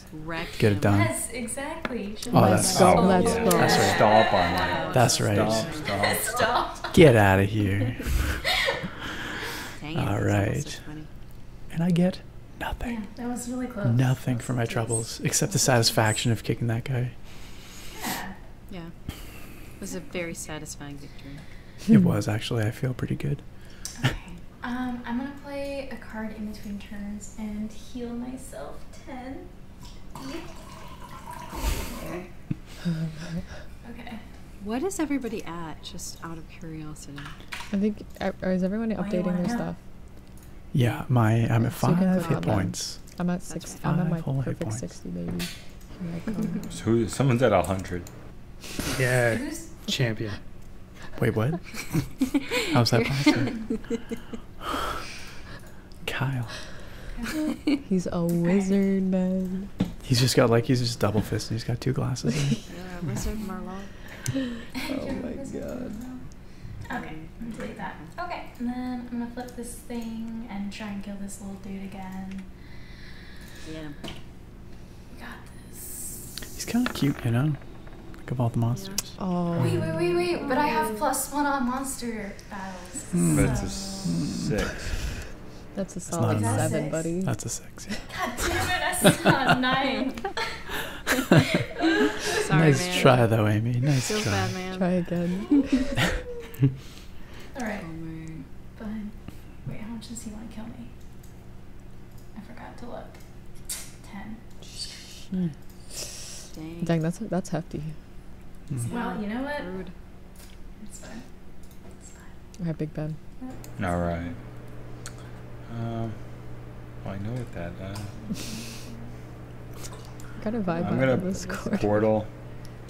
Get it done. Yes, exactly. Oh, that's oh, That's, right. That's right. Get out of here. All right. And I get nothing. Nothing for my troubles except the satisfaction of kicking that guy. Yeah. It was a very satisfying victory. it hmm. was actually. I feel pretty good. Okay. Um, I'm gonna play a card in between turns and heal myself ten. Okay. What is everybody at, just out of curiosity? I think, is everyone updating their stuff? Yeah, my I'm at five points. I'm at six. I'm at my perfect sixty, baby. who, someone's at hundred. Yeah, champion. Wait, what? How's that possible? Kyle. he's a wizard, man. He's just got like he's just double fisted. He's got two glasses. yeah, wizard Merlot. oh my god. Okay, I'm gonna delete that. Okay, and then I'm gonna flip this thing and try and kill this little dude again. Yeah. We got this. He's kind of cute, you know. Like of all the monsters. Oh. Wait, wait, wait, wait! But I have plus one on monster. Hmm. That's a six. That's a solid seven, six. buddy. That's a six. God damn it! I saw nine. nice try though, Amy. Nice try. Bad, Try again. All right. But wait, how much does he want to kill me? I forgot to look. Ten. Dang. that's that's hefty. Well, you know what? Rude. I have Big Ben. All right. Um, I know what that. Uh, got a vibe. I'm gonna p- portal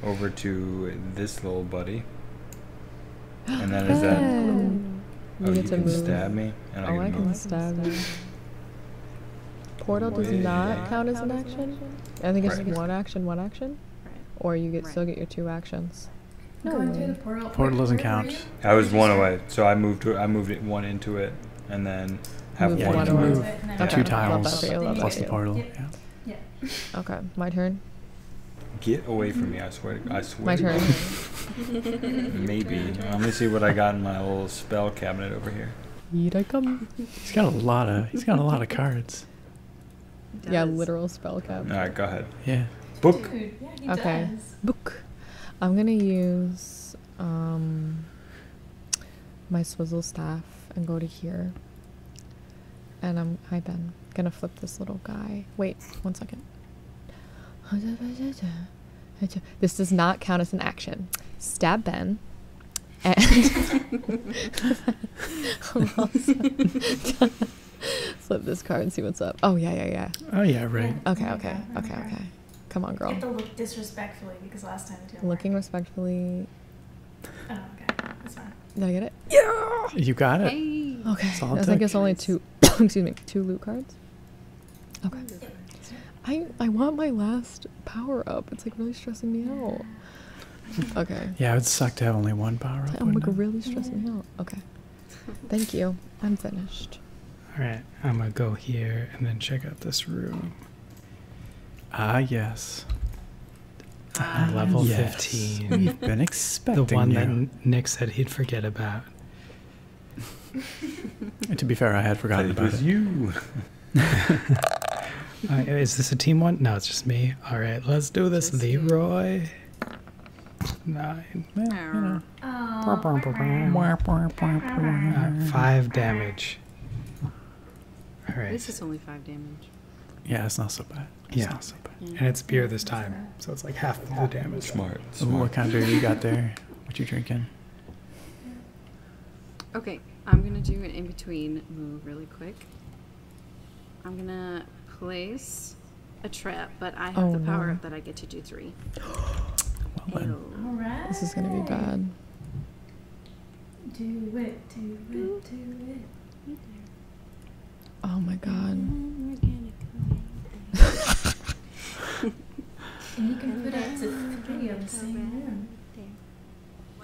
over to this little buddy. And then is that? Oh, you, you can stab me, oh, I, can, stab you. Portal does not count as an action. I think it's one action, one action action, right. or you get right. still get your two actions. No Going way. through the portal. Portal doesn't count. I was one away, so I moved. To, I moved it, one into it, and then have Move one. one away. Move yeah. two tiles plus the portal. Yeah. yeah. Okay, my turn. Get away from me! I swear. I swear. My turn. Maybe. Let me see what I got in my little spell cabinet over here. Here I come. He's got a lot of. He's got a lot of cards. Yeah, literal spell cap. All right, go ahead. Yeah. Book. okay. Book. I'm gonna use um, my swizzle staff and go to here. And I'm hi Ben. Gonna flip this little guy. Wait, one second. This does not count as an action. Stab Ben. And Flip this card and see what's up. Oh, yeah, yeah, yeah. Oh, yeah, right. Okay, okay, okay, okay. Come on, girl. You have to look disrespectfully because last time it did Looking respectfully. Oh, That's fine. Did I get it? Yeah! You got it. Okay. I think it's only two, excuse me, two loot cards. Okay. I, I want my last power up. It's like really stressing me out. Okay. Yeah, it would suck to have only one power up. I'm like really stressing me out. Okay. Thank you. I'm finished. Alright, I'm gonna go here and then check out this room. Ah, yes. Ah, level 15. been expecting The one that Nick said he'd forget about. to be fair, I had forgotten about was it. you is this a team one? No, it's just me. All right, let's do this, just Leroy. Nine. Oh, uh, five damage. All right. This is only five damage. Yeah, it's not so bad. It's yeah. So bad. And it's beer this time, so it's like half the damage. Smart. what kind of beer you got there? What you drinking? Okay, I'm gonna do an in-between move really quick. I'm gonna place a trap, but I have oh, the power that I get to do three. This is gonna be bad. Do it, do it, do it. Oh my god. Mm-hmm. you can put up to three of the same room.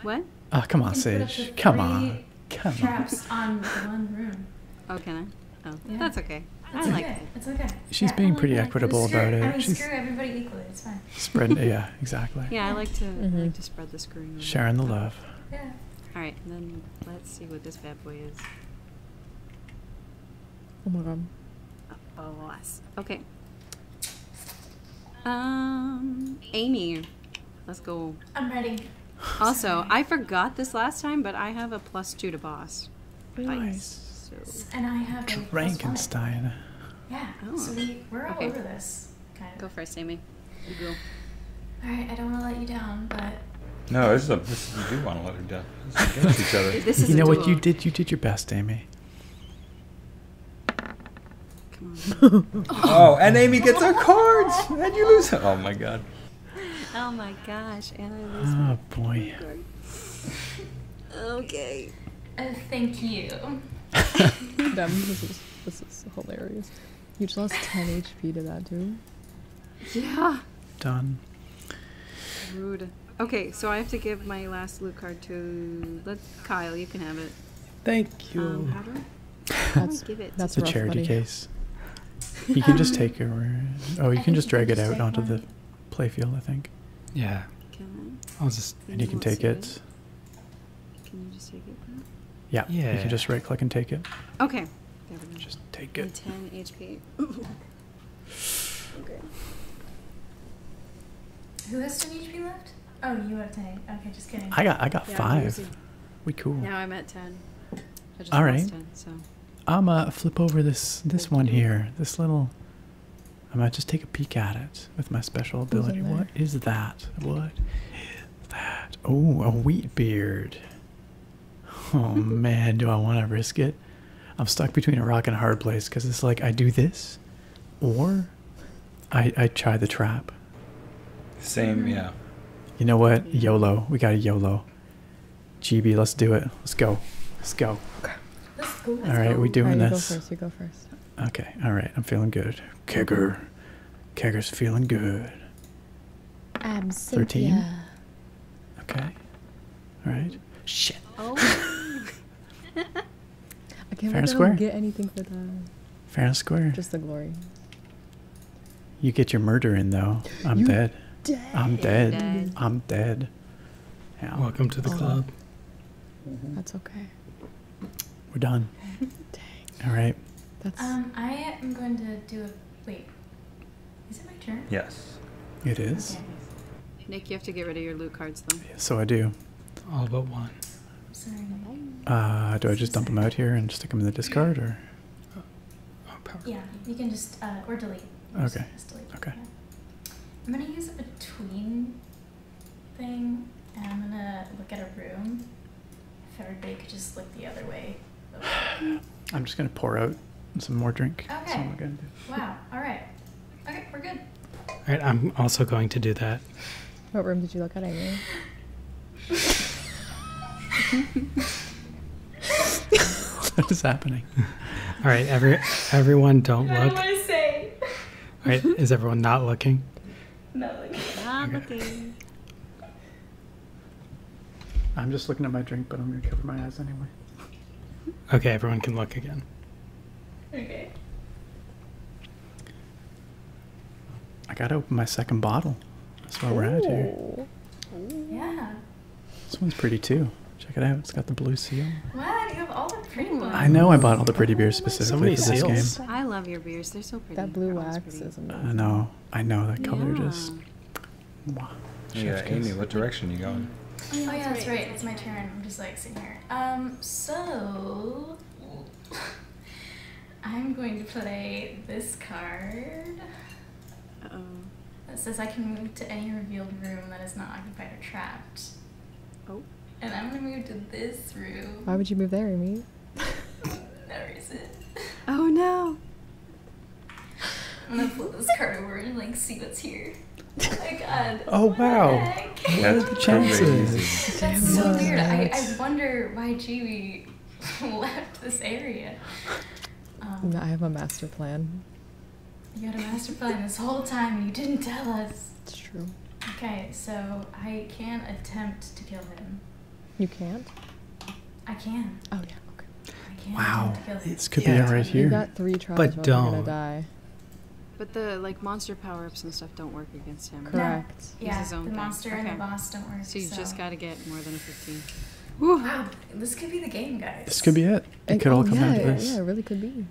What? Oh, come on, Sage. Come on. Come on. Traps on one room. Oh, can I? Oh, yeah. that's okay. That's okay. it. It's okay. She's being pretty equitable about it. I She's screw fine. yeah, exactly. Yeah, I like to mm-hmm. to spread the screen. Sharing the love. Yeah. All right, then let's see what this bad boy is. Uh, oh my god. A boss. Okay. Um, Amy. Let's go. I'm ready. Also, I forgot this last time, but I have a plus two to boss. Nice. And I have a Frankenstein. Yeah. Oh. So we, we're all over this. Go first, Amy. go. All right. I don't want to let you down, but. No, this is a, this is, you do want to let her down. this is you know what you did? You did your best, Amy. oh, and Amy gets her cards, and you lose. Oh my God oh my gosh, Oh boy. okay. Uh, thank you. Damn, this is hilarious. You just lost 10 HP to that dude. Yeah. Done. Rude. Okay, so I have to give my last loot card to let Kyle. You can have it. Thank you. Um, that's, that's a charity case. You can just um, take it. Oh, you can just drag it out onto the playfield, I think. Yeah. I? will just. And you can take it. Can you just take it? Yeah. Yeah. You can just right click and take it. Okay. Just take it. 10 HP. Okay. Who has 10 HP left? Oh, you have 10. Okay, just kidding. I got I got five. We cool. Now I'm at 10. All right. I'ma uh, flip over this this one here. This little. I might just take a peek at it with my special ability. What is that? What is that? Oh, a wheat beard. Oh man, do I want to risk it? I'm stuck between a rock and a hard place because it's like I do this, or I try the trap. Same, mm-hmm. yeah. You know what? YOLO. We got a YOLO. GB, let's do it. Let's go. Let's go. right, go. we doing this. You go first. Okay. All right. I'm feeling good. Kegger. Kegger's feeling good. Thirteen. Okay. All right. Shit. Oh. Fair and square. get anything for that. Fair and square. Just the glory. You get your murder in though. I'm dead. I'm dead. I'm dead. Welcome to the club. Mm-hmm. That's okay. We're done. All right. Um, I am going to do a wait. Is it my turn? Yes. It is. Nick, you have to get rid of your loot cards though. so I do. All but one. Uh, do I just dump them out here and stick them in the discard, or? Oh, yeah, you can just uh, or delete. Okay. Just, delete. Okay. I'm gonna use a tween thing, and I'm gonna look at a room. If everybody could just look the other way. I'm just gonna pour out some more drink. Okay. Wow. All right. Okay, we're good. All right. I'm also going to do that. What room did you look at? I mean. what is happening? All right, every everyone, don't look. I All right, is everyone not looking? Not looking. Not looking. I'm just looking at my drink, but I'm gonna cover my eyes anyway. Okay, everyone can look again. Okay. I gotta open my second bottle. That's why we're at here. Yeah. This one's pretty too. Check it out. It's got the blue seal. Wow, you have all the pretty ones. I know I bought all the pretty beers specifically for this seals. game. I love your beers. They're so pretty. That blue wax is amazing. I know. I know. That color just. Wow. Yeah, Amy, what direction are you going? Oh, yeah, that's, right. right. It's my turn. I'm just like sitting here. Um, so. I'm going to play this card. Uh oh. That says I can move to any revealed room that is not occupied or trapped. Oh. And I'm gonna move to this room. Why would you move there, Amy? no reason. Oh no. I'm gonna flip this card over and like see what's here. Oh my god. Oh wow. What are the chances? That's so weird. I, I wonder why Jamie left this area. Um, I have a master plan. You had a master plan this whole time you didn't tell us. It's true. Okay, so I can not attempt to kill him. You can't? I can. Oh, yeah. Okay. I can wow. This could be it right here. You got three tries, but don't. Gonna die. But the like monster power ups and stuff don't work against him. Correct. No. Yeah, the monster and the boss don't work. So you just got to get more than a fifteen. Woo. Wow, this could be the game, guys. This could be it. It, could all come down to this. Yeah, it really could be.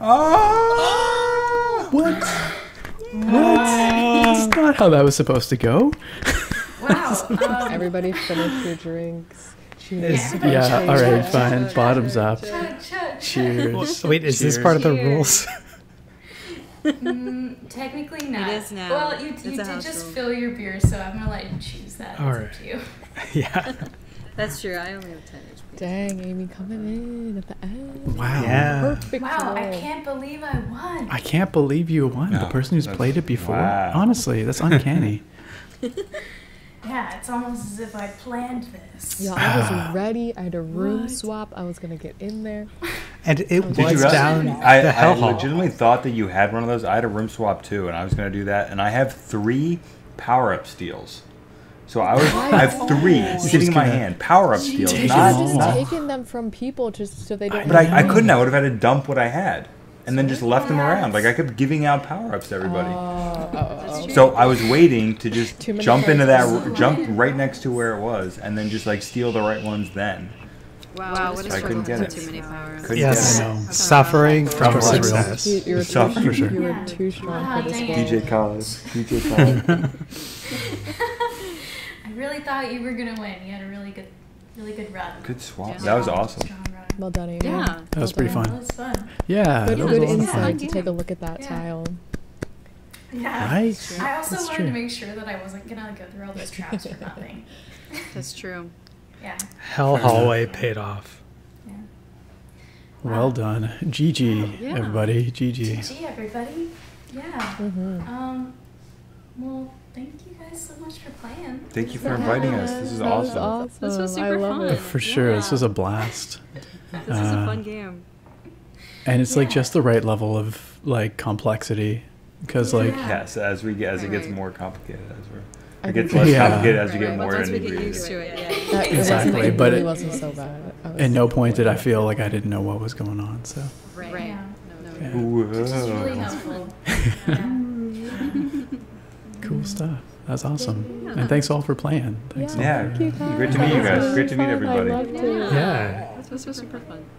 oh! What? what? That's not how that was supposed to go. Wow. um, Everybody finish your drinks. Yeah, all right, fine. Bottoms up. Cheers. Wait, is this part of the rules? Mm, technically not. It is now. Well, you, you did just fill your beer, so I'm gonna let you choose that. All right. yeah. That's true. I only have ten HP. Dang, Amy coming in at the end. Wow. Perfect wow, I can't believe I won. I can't believe you won. the person who's played it before. Honestly, that's uncanny. Yeah, it's almost as if I planned this. Yeah, I was ah. ready. I had a room swap. I was gonna get in there. And it was down I, the hell I legitimately thought that you had one of those. I had a room swap too, and I was going to do that. And I have three power up steals. So I have three oh. sitting in my hand. Power up steals. Not, just not, taking them from people just so they don't. I, but I, couldn't. I would have had to dump what I had, and then just left them around. Like I kept giving out power ups to everybody. Oh, oh. so I was waiting to just jump into that, jump right next to where it was, and then just like steal the right ones then. Wow, wow what a I couldn't get it. yes, I know. Suffering from success. You, you were too, strong for ah, this DJ Collins. DJ Collins. I really thought you were gonna win. You had a really good, really good run. Good swap. That was awesome. Well done, Yeah. That was pretty fun. Yeah. Good, good insight to take a look at that yeah. tile. Yeah. Right? I also That's wanted to make sure that I wasn't gonna go through all those traps for nothing. That's true. Yeah. Hell hallway paid off. Well um, done. GG, everybody. GG. GG, everybody. Yeah. Mm-hmm. Um, well, thank you guys so much for playing. Thank you for inviting us. This is awesome. This was super fun. For sure. This was a blast. this is a fun uh, game. And it's like just the right level of like complexity because like yes, as we get as it gets more complicated as we're. it gets less complicated as you get more Once we get used to it, yeah. exactly, but it wasn't so bad. At no point did I feel like I didn't know what was going on. So uh. really helpful. cool stuff. That's awesome. And thanks all for playing. yeah, Great to meet you guys. Great to meet everybody. Yeah. it was super fun.